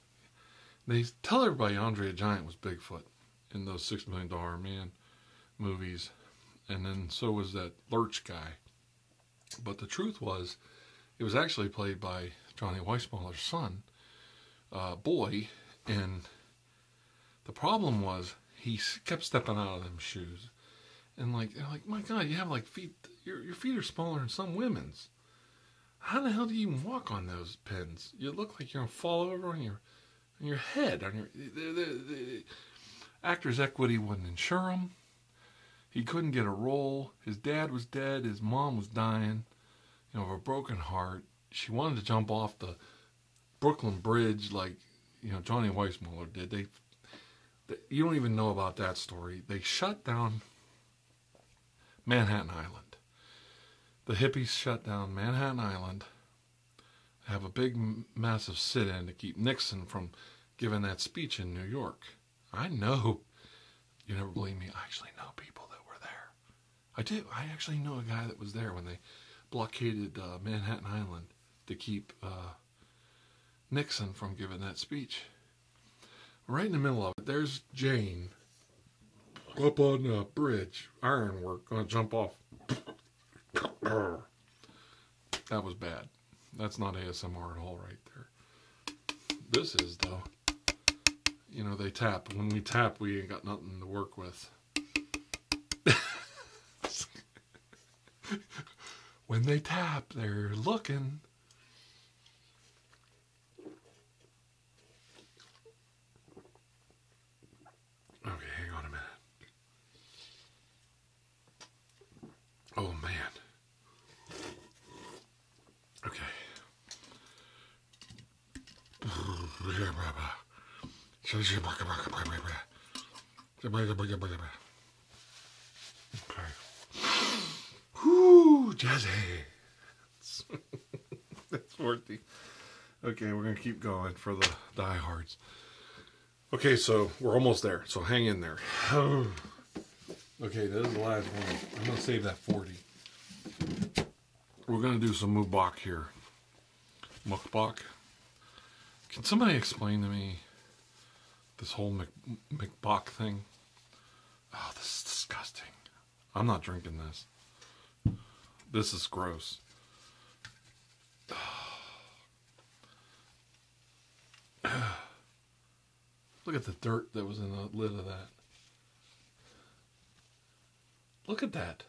S1: They tell everybody Andre the Giant was Bigfoot in those Six Million Dollar Man movies, and then so was that Lurch guy. But the truth was, it was actually played by Johnny Weissmuller's son, uh, boy, and the problem was he kept stepping out of them shoes and like like, my God, you have like feet. Your your feet are smaller than some women's. How the hell do you even walk on those pins? You look like you're gonna fall over on your your head. On your the Actors Equity wouldn't insure him. He couldn't get a role. His dad was dead. His mom was dying, you know, of a broken heart. She wanted to jump off the Brooklyn Bridge like you know Johnny Weissmuller did. They you don't even know about that story. They shut down Manhattan Island. The hippies shut down Manhattan Island, have a big, massive sit in to keep Nixon from giving that speech in New York. I know, you never believe me, I actually know people that were there. I do. I actually know a guy that was there when they blockaded uh, Manhattan Island to keep uh, Nixon from giving that speech. Right in the middle of it, there's Jane up on a bridge, ironwork, gonna jump off. that was bad. That's not ASMR at all, right there. This is, though. You know, they tap. When we tap, we ain't got nothing to work with. when they tap, they're looking. Okay, hang on a minute. Oh man. Okay jazz That's 40. Okay, we're going to keep going for the diehards. Okay, so we're almost there. So hang in there. Okay, this is the last one. I'm going to save that 40. We're going to do some mukbang here. Mukbang. Can somebody explain to me this whole Mc, McBock thing. Oh, this is disgusting. I'm not drinking this. This is gross. Look at the dirt that was in the lid of that. Look at that.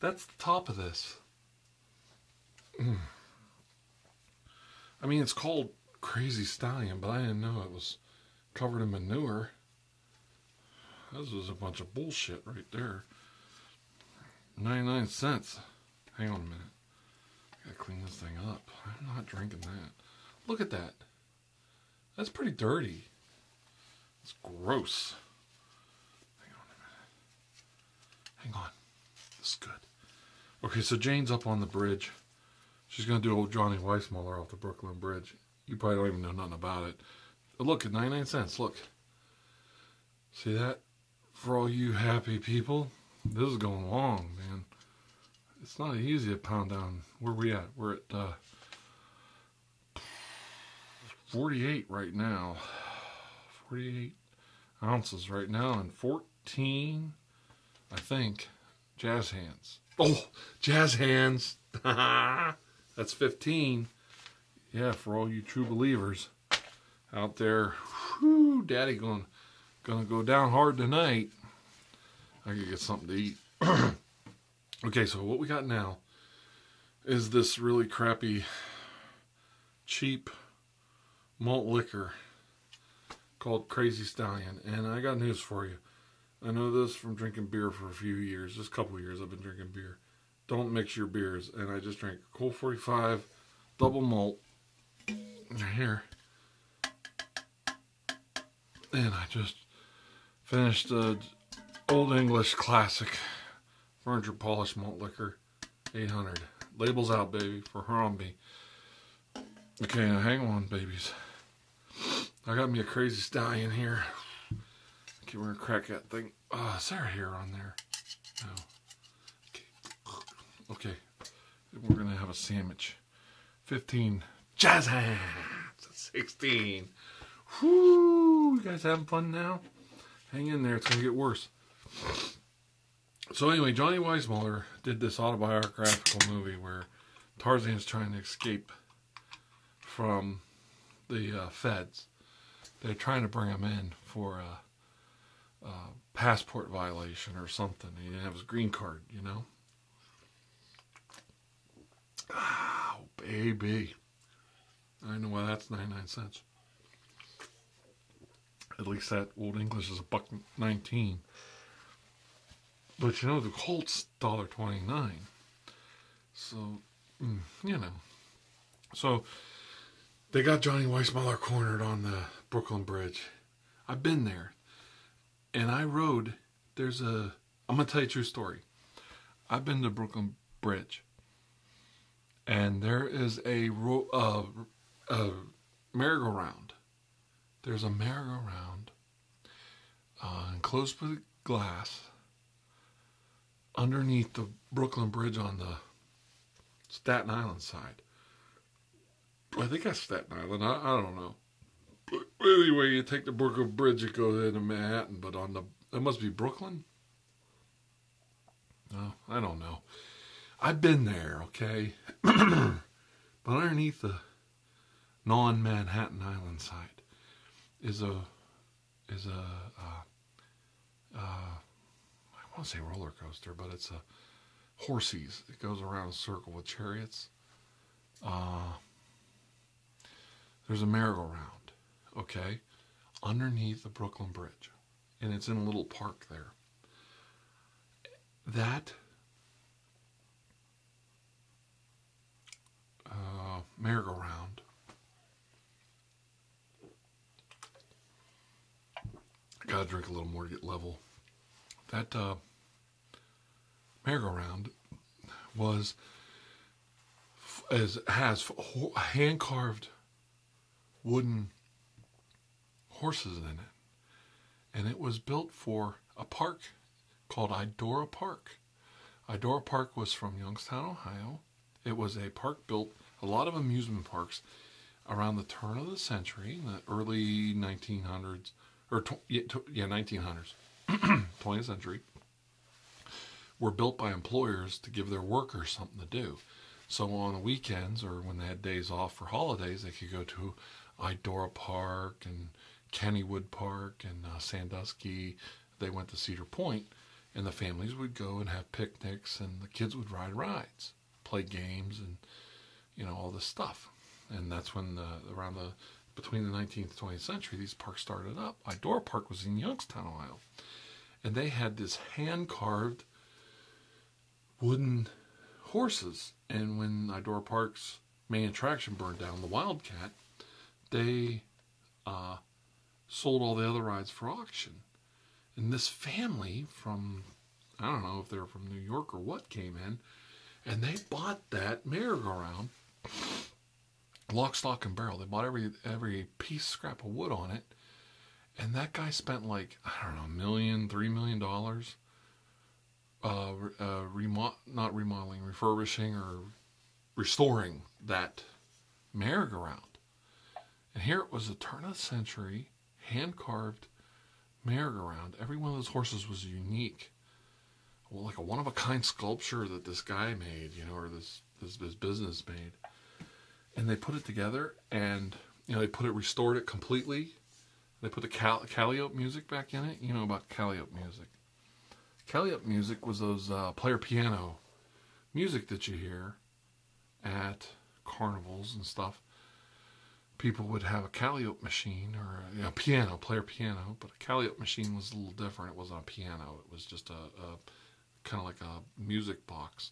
S1: That's the top of this. I mean, it's called Crazy Stallion, but I didn't know it was covered in manure. This is a bunch of bullshit right there. 99 cents. Hang on a minute. I gotta clean this thing up. I'm not drinking that. Look at that. That's pretty dirty. It's gross. Hang on. This is good. Okay, so Jane's up on the bridge. She's going to do old Johnny Weissmuller off the Brooklyn Bridge. You probably don't even know nothing about it. Look, at 99 cents, look. See that? For all you happy people, this is going long, man. It's not easy to pound down. Where we at? We're at uh, 48 right now. 48 ounces right now and 14, I think, jazz hands. Oh, jazz hands. That's 15. Yeah, for all you true believers out there, whew, daddy going gonna go down hard tonight. I could get something to eat. okay, so what we got now is this really crappy, cheap malt liquor called Crazy Stallion. And I got news for you. I know this from drinking beer for a few years, just a couple years I've been drinking beer. Don't mix your beers. And I just drank Cool 45 double malt here. And I just finished the Old English Classic Furniture Polish Malt Liquor 800. Labels out, baby, for Harambe. Okay, now hang on, babies. I got me a crazy stallion here. Okay, we're gonna crack that thing. Uh, is there hair on there? No. Okay. okay. We're gonna have a sandwich. 15. Jazz hands! 16. Whoo! You guys having fun now? Hang in there, it's gonna get worse. So anyway, Johnny Weismuller did this autobiographical movie where Tarzan is trying to escape from the uh, feds. They're trying to bring him in for a, passport violation or something. He did his green card, you know. Oh, baby. I know why that's 99 cents. At least that old English is a buck nineteen. But you know the Colt's dollar twenty nine. So mm, you know. So they got Johnny Weissmuller cornered on the Brooklyn Bridge. I've been there. And I rode there's a I'm gonna tell you a true story. I've been to Brooklyn Bridge, and there is a, a uh, uh, merry-go-round there's a merry-go-round uh, enclosed with glass underneath the Brooklyn Bridge on the Staten Island side. I think that's Staten Island. I, don't know. But anyway, you take the Brooklyn Bridge, you go into Manhattan, but on the it must be Brooklyn. No, I don't know. I've been there, okay? but underneath the non Manhattan Island side is a is a uh, uh, want to say roller coaster, but it's a horses. It goes around a circle with chariots. Uh, there's a merry-go-round, okay, underneath the Brooklyn Bridge and it's in a little park there. That uh, merry-go-round gotta drink a little more to get level. That uh, merry-go-round was as has hand-carved wooden horses in it. And it was built for a park called Idora Park. Idora Park was from Youngstown, Ohio. It was a park built, a lot of amusement parks around the turn of the century, the early 1900s, or yeah, yeah 1900s, 20th century, were built by employers to give their workers something to do. So on the weekends or when they had days off for holidays, they could go to Idora Park and Kennywood Park and uh, Sandusky. They went to Cedar Point, and the families would go and have picnics, and the kids would ride rides, play games, and you know all this stuff. And that's when the, around the between the 19th 20th century, these parks started up. Idora Park was in Youngstown, Ohio, and they had this hand carved wooden horses and when Idora Park's main attraction burned down, the Wildcat, they uh, sold all the other rides for auction. And this family from, I don't know if they're from New York or what, came in and they bought that merry-go-round lock, stock, and barrel. They bought every every piece scrap of wood on it, and that guy spent like I don't know, million, three million dollars uh, uh not remodeling, refurbishing or restoring that merry-go-round. And here it was a turn of century, hand-carved merry-go-round. Every one of those horses was unique. like a one-of-a-kind sculpture that this guy made, you know, or this, this business made. And they put it together and you know they put it restored it completely. They put the Cal- Calliope music back in it. You know about Calliope music. Calliope music was those uh, player piano music that you hear at carnivals and stuff. People would have a Calliope machine or a uh, piano, player piano, but a Calliope machine was a little different. It wasn't a piano; it was just a, a kind of like a music box,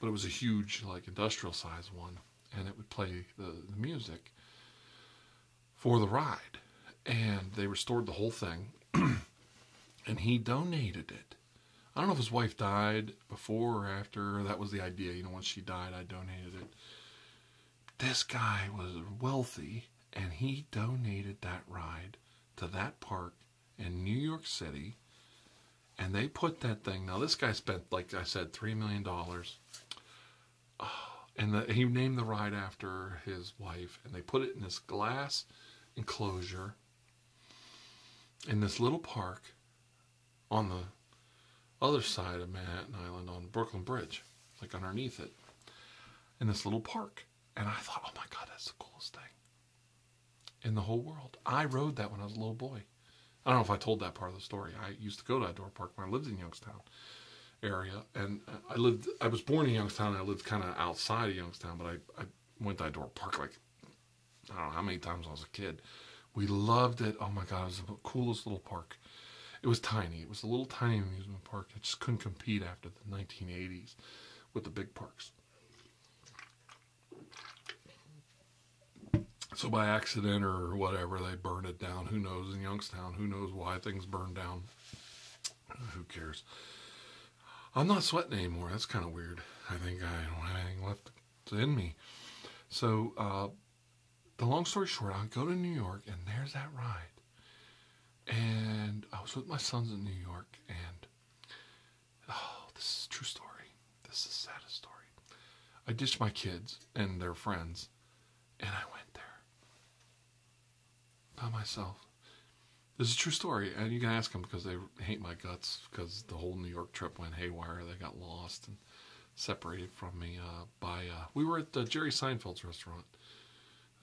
S1: but it was a huge, like industrial size one and it would play the, music for the ride. And they restored the whole thing, and he donated it. I don't know if his wife died before or after. That was the idea. You know, once she died, I donated it. This guy was wealthy, and he donated that ride to that park in New York City and they put that thing. Now this guy spent, like I said, three million dollars. And he named the ride after his wife. And they put it in this glass enclosure in this little park on the other side of Manhattan Island on Brooklyn Bridge, like underneath it, in this little park. And I thought, oh my God, that's the coolest thing in the whole world. I rode that when I was a little boy. I don't know if I told that part of the story. I used to go to Outdoor Park when I lived in Youngstown area, and I lived. I was born in Youngstown. I lived kind of outside of Youngstown, but I, I went to Outdoor Park like I don't know how many times I was a kid. We loved it. Oh my God, it was the coolest little park. It was tiny. It was a little tiny amusement park. It just couldn't compete after the 1980s with the big parks. So by accident or whatever, they burned it down. Who knows in Youngstown? Who knows why things burn down? Who cares? I'm not sweating anymore. That's kind of weird. I think I don't have anything left in me. So, uh, the long story short, I go to New York and there's that ride. And I was with my sons in New York and, oh, this is true story. This is the saddest story. I ditched my kids and their friends, and I went there by myself. This is a true story, and you can ask them because they hate my guts because the whole New York trip went haywire. They got lost and separated from me uh, by. Uh, we were at the Jerry Seinfeld's restaurant,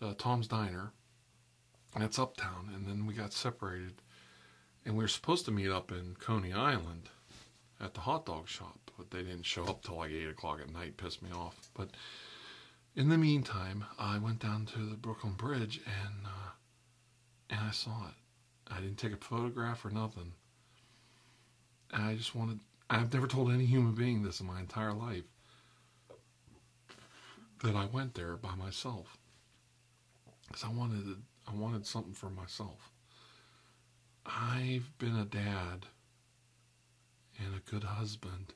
S1: uh, Tom's Diner, that's uptown, and then we got separated, and we were supposed to meet up in Coney Island at the hot dog shop but they didn't show up till like 8 o'clock at night, pissed me off. But in the meantime, I went down to the Brooklyn Bridge and, uh, and I saw it. I didn't take a photograph or nothing. And I just wanted, I've never told any human being this in my entire life that I went there by myself. Because I wanted, I wanted something for myself. I've been a dad and a good husband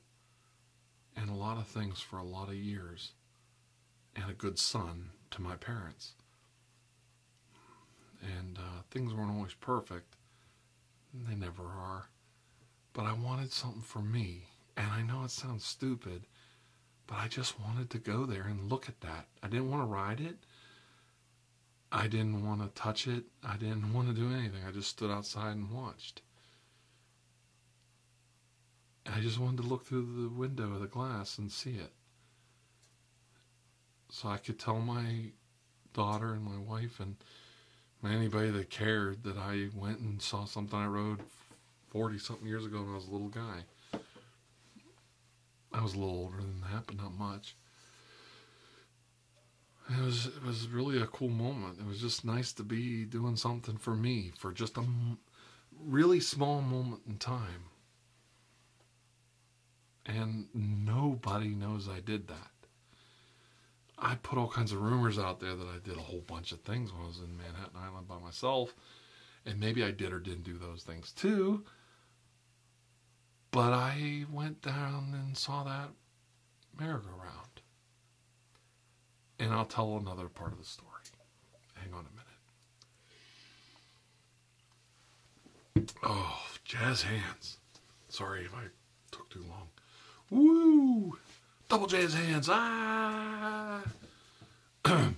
S1: and a lot of things for a lot of years and a good son to my parents. And uh, things weren't always perfect. They never are. But I wanted something for me. And I know it sounds stupid, but I just wanted to go there and look at that. I didn't want to ride it. I didn't want to touch it. I didn't want to do anything. I just stood outside and watched. I just wanted to look through the window of the glass and see it. So I could tell my daughter and my wife and anybody that cared that I went and saw something I rode 40 something years ago when I was a little guy. I was a little older than that, but not much. It was it was really a cool moment. It was just nice to be doing something for me for just a really small moment in time. And nobody knows I did that. I put all kinds of rumors out there that I did a whole bunch of things when I was in Manhattan Island by myself. And maybe I did or didn't do those things too. But I went down and saw that merry-go-round. And I'll tell another part of the story. Hang on a minute. Oh, jazz hands. Sorry if I took too long. Woo! Double jazz hands. Ah!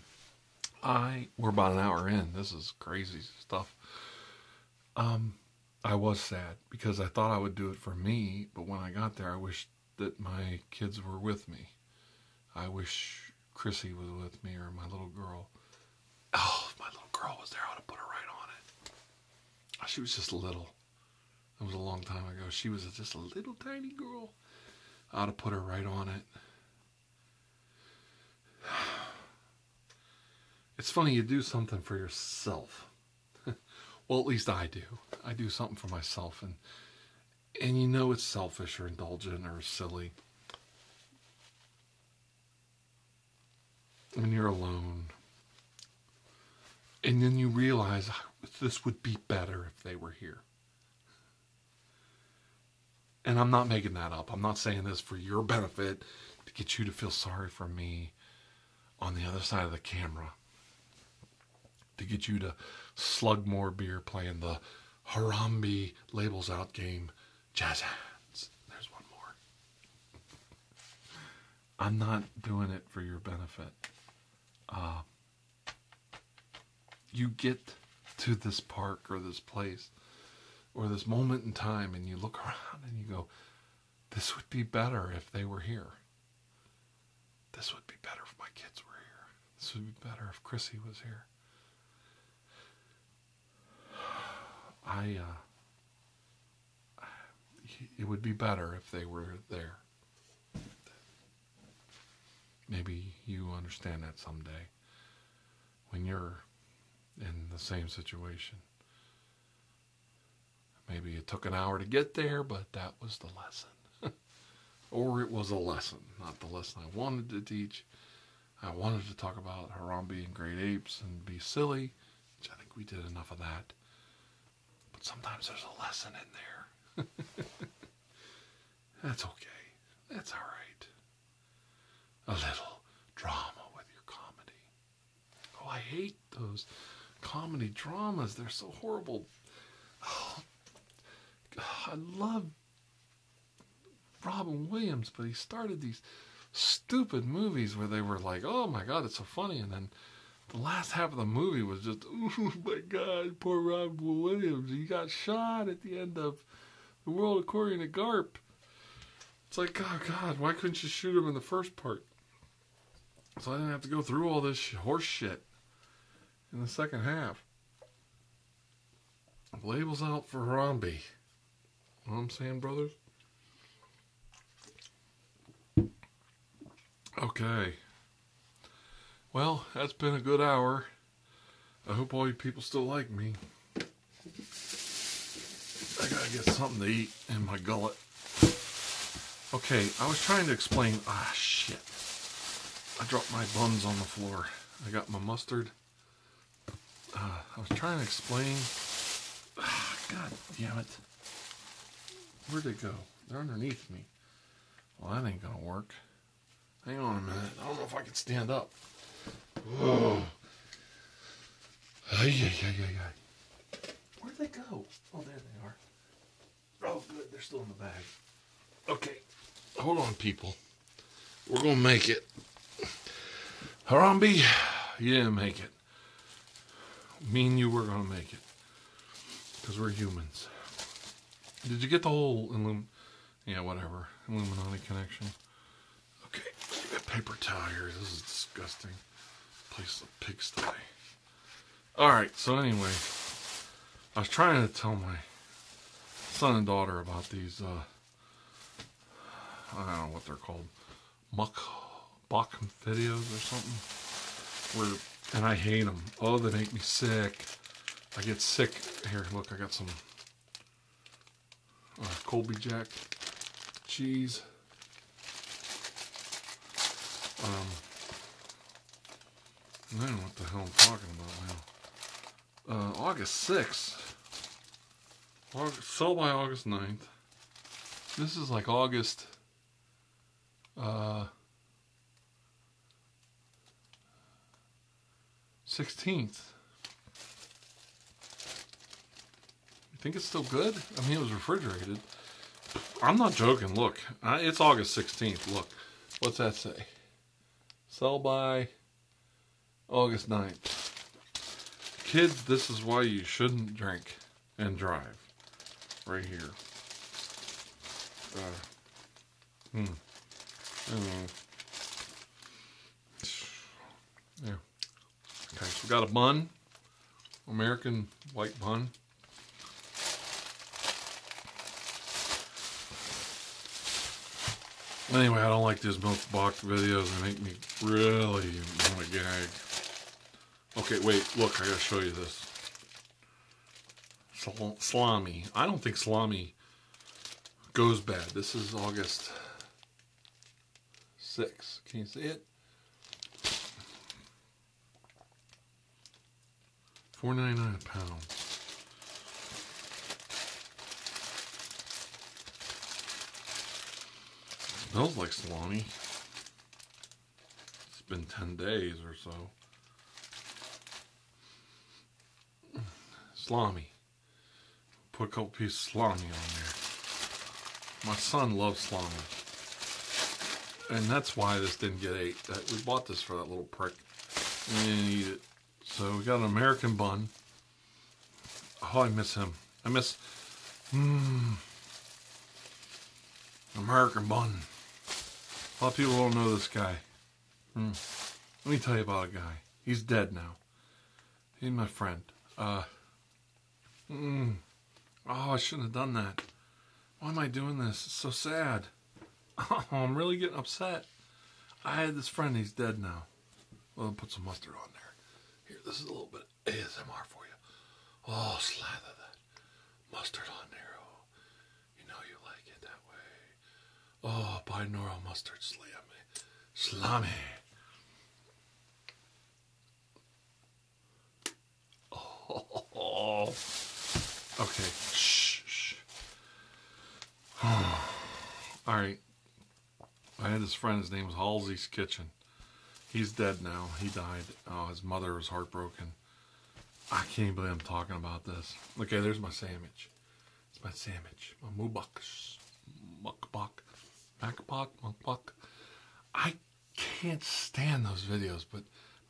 S1: I we're about an hour in. This is crazy stuff. Um, I was sad because I thought I would do it for me, but when I got there, I wished that my kids were with me. I wish Chrissy was with me or my little girl. Oh, if my little girl was there, I would have put her right on it. Ah, she was just little. That was a long time ago. She was just a little tiny girl. I'd have put her right on it. It's funny, you do something for yourself. well, at least I do. I do something for myself, and and you know it's selfish or indulgent or silly. When you're alone, and then you realize ah, this would be better if they were here. And I'm not making that up. I'm not saying this for your benefit to get you to feel sorry for me on the other side of the camera, to get you to slug more beer playing the Harambee labels out game, jazz hands. There's one more. I'm not doing it for your benefit. Uh, you get to this park or this place or this moment in time and you look around and you go, this would be better if they were here. This would be better if my kids were here. This would be better if Chrissy was here. I, uh, it would be better if they were there. Maybe you understand that someday when you're in the same situation. Maybe it took an hour to get there, but that was the lesson. or it was a lesson, not the lesson I wanted to teach. I wanted to talk about Harambe and great apes and be silly, which I think we did enough of that. But sometimes there's a lesson in there. That's okay. That's all right. A little drama with your comedy. Oh, I hate those comedy dramas. They're so horrible. Oh, I love Robin Williams, but he started these stupid movies where they were like, oh my god, it's so funny. And then the last half of the movie was just, oh my god, poor Robin Williams. He got shot at the end of the world according to Garp. It's like, oh God, why couldn't you shoot him in the first part? So I didn't have to go through all this horse shit in the second half. Labels out for Harambe. what I'm saying, brothers? Okay. Well, that's been a good hour. I hope all you people still like me. I gotta get something to eat in my gullet. Okay, I was trying to explain. Ah, shit. I dropped my buns on the floor. I got my mustard. Ah, I was trying to explain. Ah, God damn it. Where'd they go? They're underneath me. Well, that ain't gonna work. Hang on a minute. I don't know if I can stand up. Ay, ay, ay, ay, Where'd they go? Oh, there they are. Oh, good. They're still in the bag. Okay. Hold on, people. We're going to make it. Harambe, Yeah, make it. Mean you were going to make it. Because we're humans. Did you get the whole Illum... Yeah, whatever. Illuminati connection. Okay, paper towel here. This is disgusting. Place the pigsty. Alright, so anyway, I was trying to tell my son and daughter about these, uh, I don't know what they're called, muck, bach videos or something. Where, and I hate them. Oh, they make me sick. I get sick. Here, look, I got some uh, Colby Jack cheese. I don't know what the hell I'm talking about now. Uh, August 6th. August, by August 9th. This is like August... 16th. Uh, you think it's still good? I mean, it was refrigerated. I'm not joking. Look, it's August 16th. Look, what's that say? Sell by August 9th. Kids, this is why you shouldn't drink and drive. Right here. Uh, hmm. Yeah. Okay, so we got a bun, American white bun. Anyway, I don't like these milk box videos. They make me really want to gag. Okay, wait, look, I gotta show you this. Sal salami. I don't think salami goes bad. This is August six. Can you see it? 4.99 a pound. smells like salami. It's been 10 days or so. Salami. Put a couple pieces of salami on there. My son loves salami. And that's why this didn't get ate. We bought this for that little prick. And So we got an American bun. Oh, I miss him. I miss... Mmm... American bun. A lot of people don't know this guy. Hmm. Let me tell you about a guy. He's dead now. He's my friend. Uh, Mm. Oh, I shouldn't have done that. Why am I doing this? It's so sad. Oh, I'm really getting upset. I had this friend, he's dead now. Well, put some mustard on there. Here, this is a little bit of ASMR for you. Oh, slather that mustard on there. Oh, you know you like it that way. Oh, binaural mustard slam Slammy. Oh. Okay. Shh. All right. I had this friend. His name was Halsey's Kitchen. He's dead now. He died. Oh, his mother was heartbroken. I can't believe I'm talking about this. Okay, there's my sandwich. It's my sandwich. My mubaks. Mukbak. Macbok. Mukbak. I can't stand those videos, but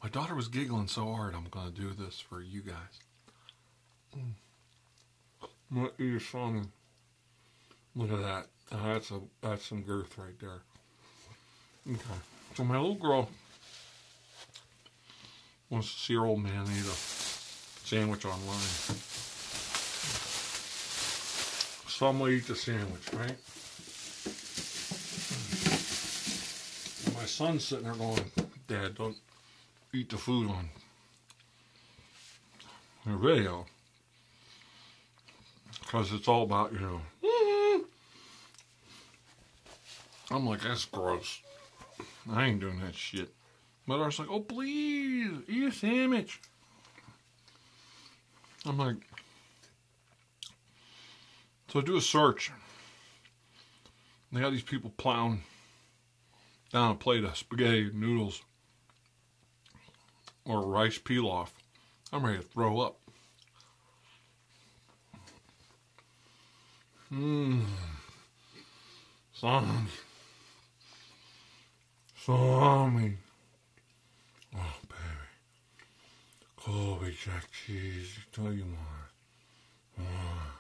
S1: my daughter was giggling so hard, I'm going to do this for you guys. Mm. My ear salmon. Look at that. that's a that's some girth right there. Okay. So my little girl wants to see her old man eat a sandwich online. So I'm gonna eat the sandwich, right? my son's sitting there going, Dad, don't eat the food on the video. Because it's all about, you know, I'm like, that's gross. I ain't doing that shit. But I like, oh, please, eat a sandwich. I'm like, so I do a search. They got these people plowing down a plate of spaghetti noodles or rice pilaf. I'm ready to throw up. Mmm. Zombie.
S2: Zombie.
S1: Oh, baby. Colby Jack Cheese, tell you more. Ah.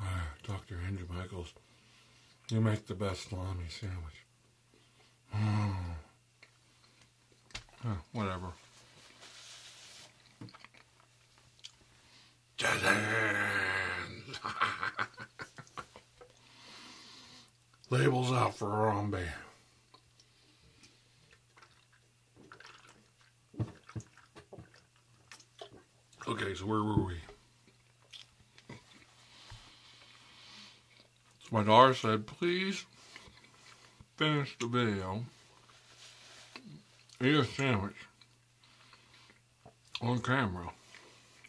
S1: Ah, Dr. Andrew Michaels, you make the best salami sandwich. Ah. whatever. Labels out for Harambe. Okay, so where were we? So my daughter said, please finish the video. Eat a sandwich on camera.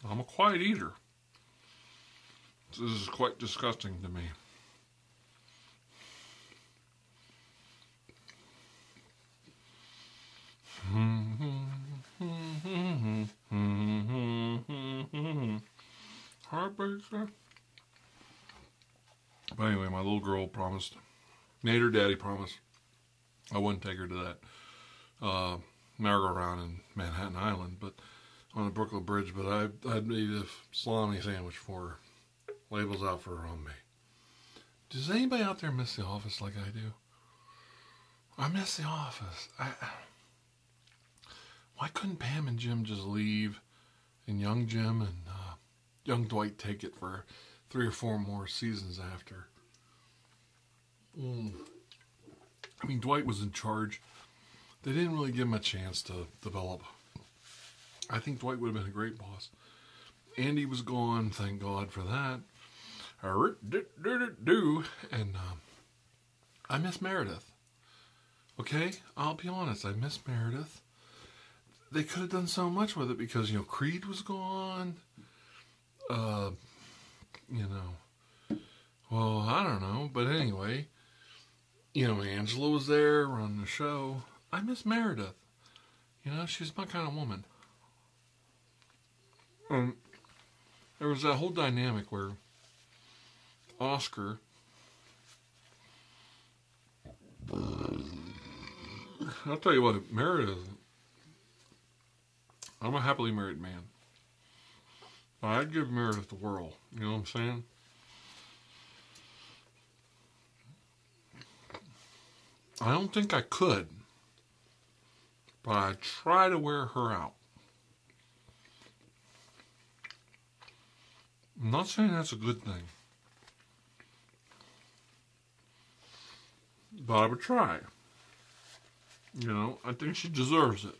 S1: I'm a quiet eater. This is quite disgusting to me. Heartbreaker. But anyway, my little girl promised, made her daddy promise, I wouldn't take her to that. Uh, merry-go-round in Manhattan Island, but on the Brooklyn Bridge. But I, i made eat a salami sandwich for Labels out for her on Does anybody out there miss The Office like I do? I miss The Office. I, why couldn't Pam and Jim just leave, and young Jim and uh, young Dwight take it for three or four more seasons after? Mm. I mean, Dwight was in charge. They didn't really give him a chance to develop. I think Dwight would have been a great boss. Andy was gone, thank God for that. And um, I miss Meredith. Okay, I'll be honest, I miss Meredith. They could have done so much with it because, you know, Creed was gone. Uh, you know, well, I don't know. But anyway, you know, Angela was there running the show. I miss Meredith. You know, she's my kind of woman. and um, there was that whole dynamic where Oscar. I'll tell you what, Meredith. I'm a happily married man. I'd give Meredith the world. You know what I'm saying? I don't think I could, but I try to wear her out. I'm not saying that's a good thing, but I would try. You know, I think she deserves it.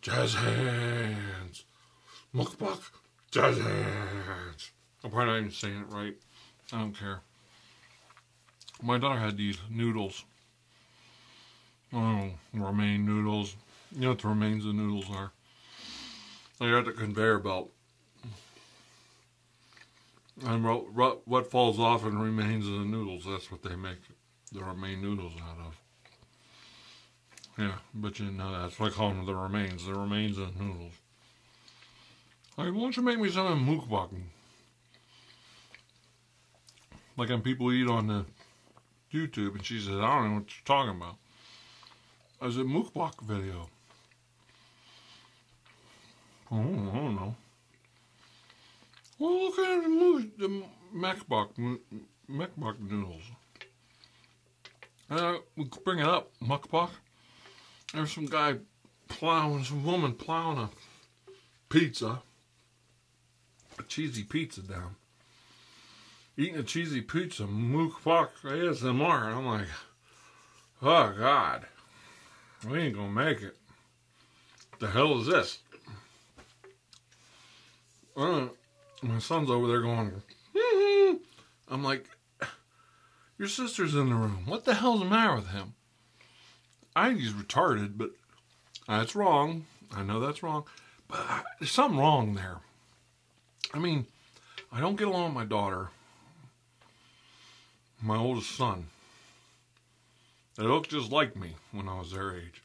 S1: Jazz hands. Mukbuk. Jazz hands. I'm probably not even saying it right. I don't care my daughter had these noodles. Oh, romaine noodles. You know what the remains of noodles are? They're at the conveyor belt. And what, falls off and remains in the noodles, that's what they make the romaine noodles out of. Yeah, but you know, that's what I call them the remains, the remains of noodles. Like, why don't you make me some mukbang? Like when people eat on the YouTube, and she says, I don't know what you're talking about. I was a mukbang video. Oh, I don't know. Well, look at the, moose, the noodles. And uh, I would bring it up, mukbang. There's some guy plowing, this woman plowing a pizza, a cheesy pizza down. Eating a cheesy pizza, mook fuck ASMR. I'm like, oh God, we ain't gonna make it. the hell is this? Uh, my son's over there going, mm-hmm. I'm like, your sister's in the room. What the hell's the matter with him? I think he's retarded, but that's wrong. I know that's wrong, but there's something wrong there. I mean, I don't get along with my daughter, my oldest son. They look just like me when I was their age.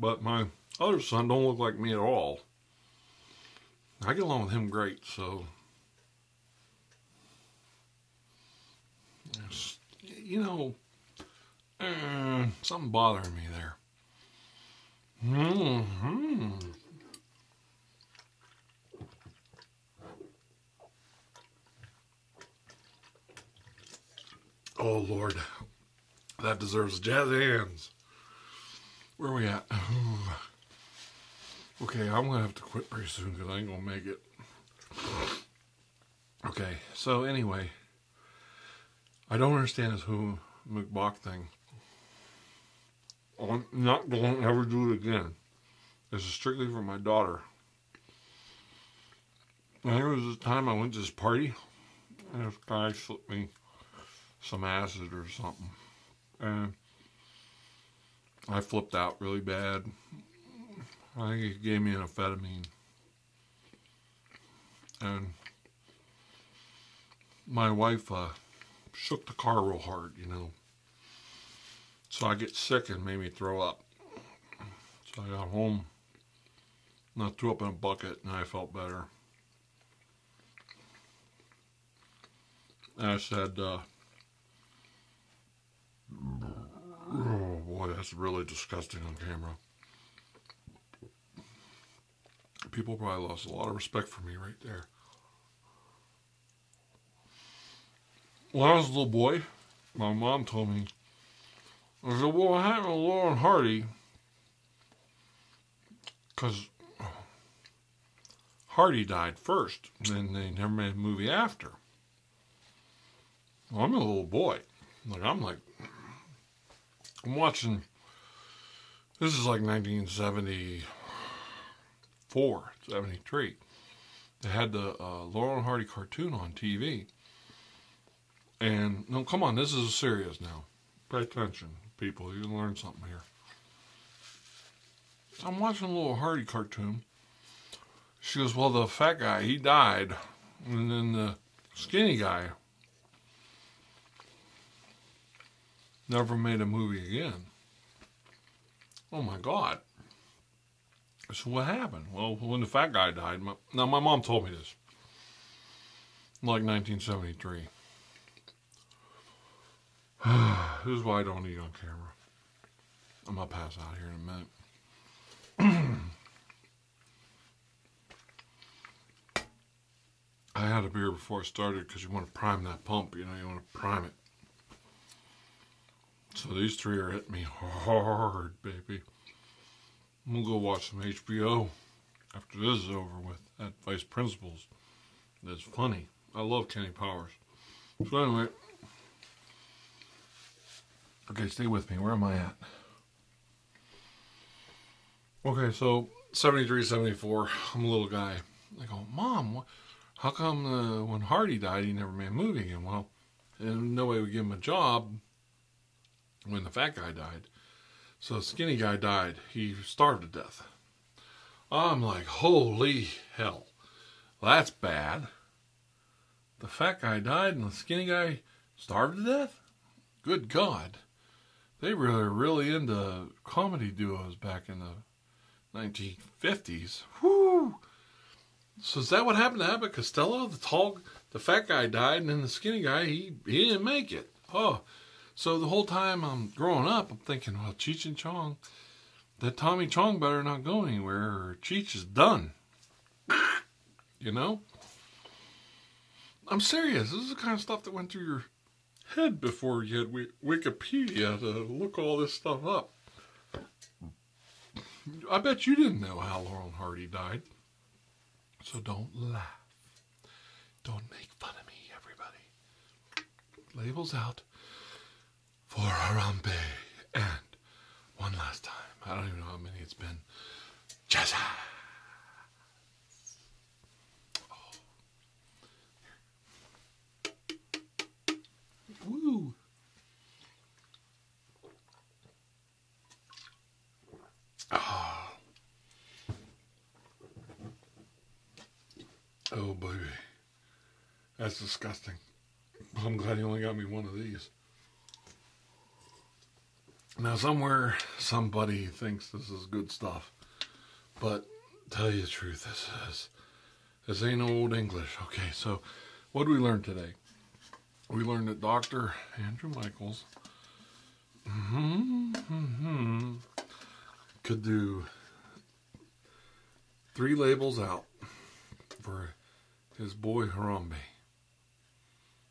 S1: But my other son don't look like me at all. I get along with him great, so you know, uh, something bothering me there. hmm Oh, Lord. That deserves jazz hands. Where are we at? Okay, I'm going to have to quit pretty soon because I ain't going to make it. Okay, so anyway, I don't understand this who McBach thing. I'm not going to ever do it again. This is strictly for my daughter. And there was this time I went to this party, and this guy slipped me some acid or something. And I flipped out really bad. I think he gave me an amphetamine. And my wife uh, shook the car real hard, you know. So I get sick and made me throw up. So I got home and I threw up in a bucket and I felt better. I said, uh, Oh boy, that's really disgusting on camera. People probably lost a lot of respect for me right there. When I was a little boy, my mom told me, I was a I happened to Hardy? Because Hardy died first, and they never made a movie after. I'm a little boy. Like I'm like I'm watching this is like 1974, 73. They had the uh, Laurel and Hardy cartoon on TV. And no, come on, this is serious now. Pay attention, people. You can learn something here. I'm watching a little Hardy cartoon, she goes, Well, the fat guy, he died. And then the skinny guy never made a movie again. Oh my God. So what happened? Well, when the fat guy died, now my mom told me this, like 1973 this is why I don't eat on camera. I'm gonna pass out here in a minute. I had a beer before I started because you want to prime that pump, you know, you want to prime it. So these three are hitting me hard, baby. I'm gonna go watch some HBO after this is over with at Vice Principals. That's funny. I love Kenny Powers. So anyway, okay, stay with me. Where am I at? Okay, so 73, 74, I'm a little guy. I go, Mom, how come uh, when Hardy died, he never made a movie again? Well, and uh, nobody would give him a job when the fat guy died. So skinny guy died. He starved to death. I'm like, holy hell, that's bad. The fat guy died and the skinny guy starved to death? Good God. They were really into comedy duos back in the 1950s. Whoo! So is that what happened to Abbott Costello? The tall, the fat guy died, and then the skinny guy he he didn't make it. Oh, so the whole time I'm growing up, I'm thinking, well, Cheech and Chong, that Tommy Chong better not go anywhere or Cheech is done. you know? I'm serious. This is the kind of stuff that went through your head before you had Wikipedia to look all this stuff up. I bet you didn't know how Laurel Hardy died. So don't laugh. Don't make fun of me, everybody. Labels out for Harambe and one last time. I don't even know how many it's been. Jazz. Oh. Woo. Oh. Oh, baby. That's disgusting. Well, I'm glad you only got me one of these. Now, somewhere, somebody thinks this is good stuff. But, tell you the truth, this is... This ain't old English. Okay, so what did we learn today? We learned that Dr. Andrew Michaels mm-hmm, mm-hmm, could do Three labels out for his boy Harambe.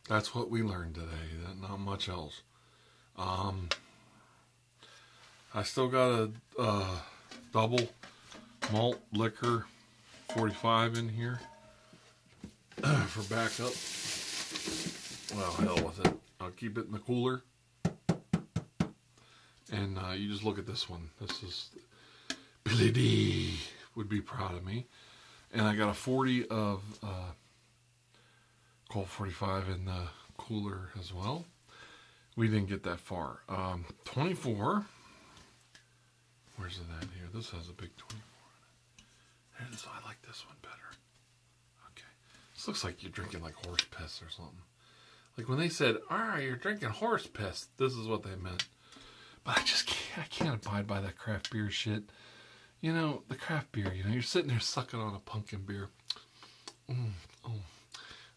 S1: That's what we learned today. Not much else. Um, I still got a double malt liquor 45 in here for backup. Well, hell with it. I'll keep it in the cooler. And uh, you just look at this one. This is Billy D would be proud of me. And I got a 40 of uh, Colt 45 in the cooler as well. We didn't get that far. Um, 24. Where's that here? This has a big 24 in I like this one better. Okay. This looks like you're drinking like horse piss or something. Like when they said, ah, you're drinking horse piss, this is what they meant. But I just can't, I can't abide by that craft beer shit. You know, the craft beer, you know, you're sitting there sucking on a pumpkin beer. Mm, oh,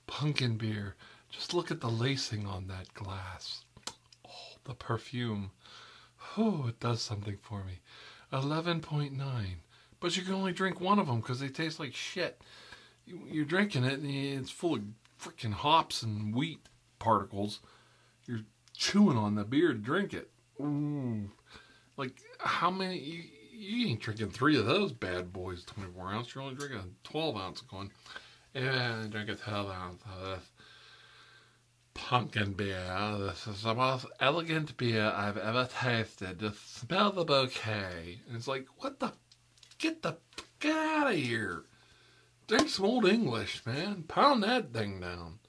S1: Pumpkin beer. Just look at the lacing on that glass. Oh, the perfume. Oh, it does something for me. 11.9. But you can only drink one of them because they taste like shit you're drinking it and it's full of freaking hops and wheat particles. You're chewing on the beer to drink it. Ooh. Like, how many? You, ain't drinking three of those bad boys, 24 ounce. You're only drinking a 12 ounce of one. And drink a 12 ounce of this pumpkin beer. This is the most elegant beer I've ever tasted. Just smell the bouquet. it's like, what the Get the fuck out of here. Drink some old English, man. Pound that thing down.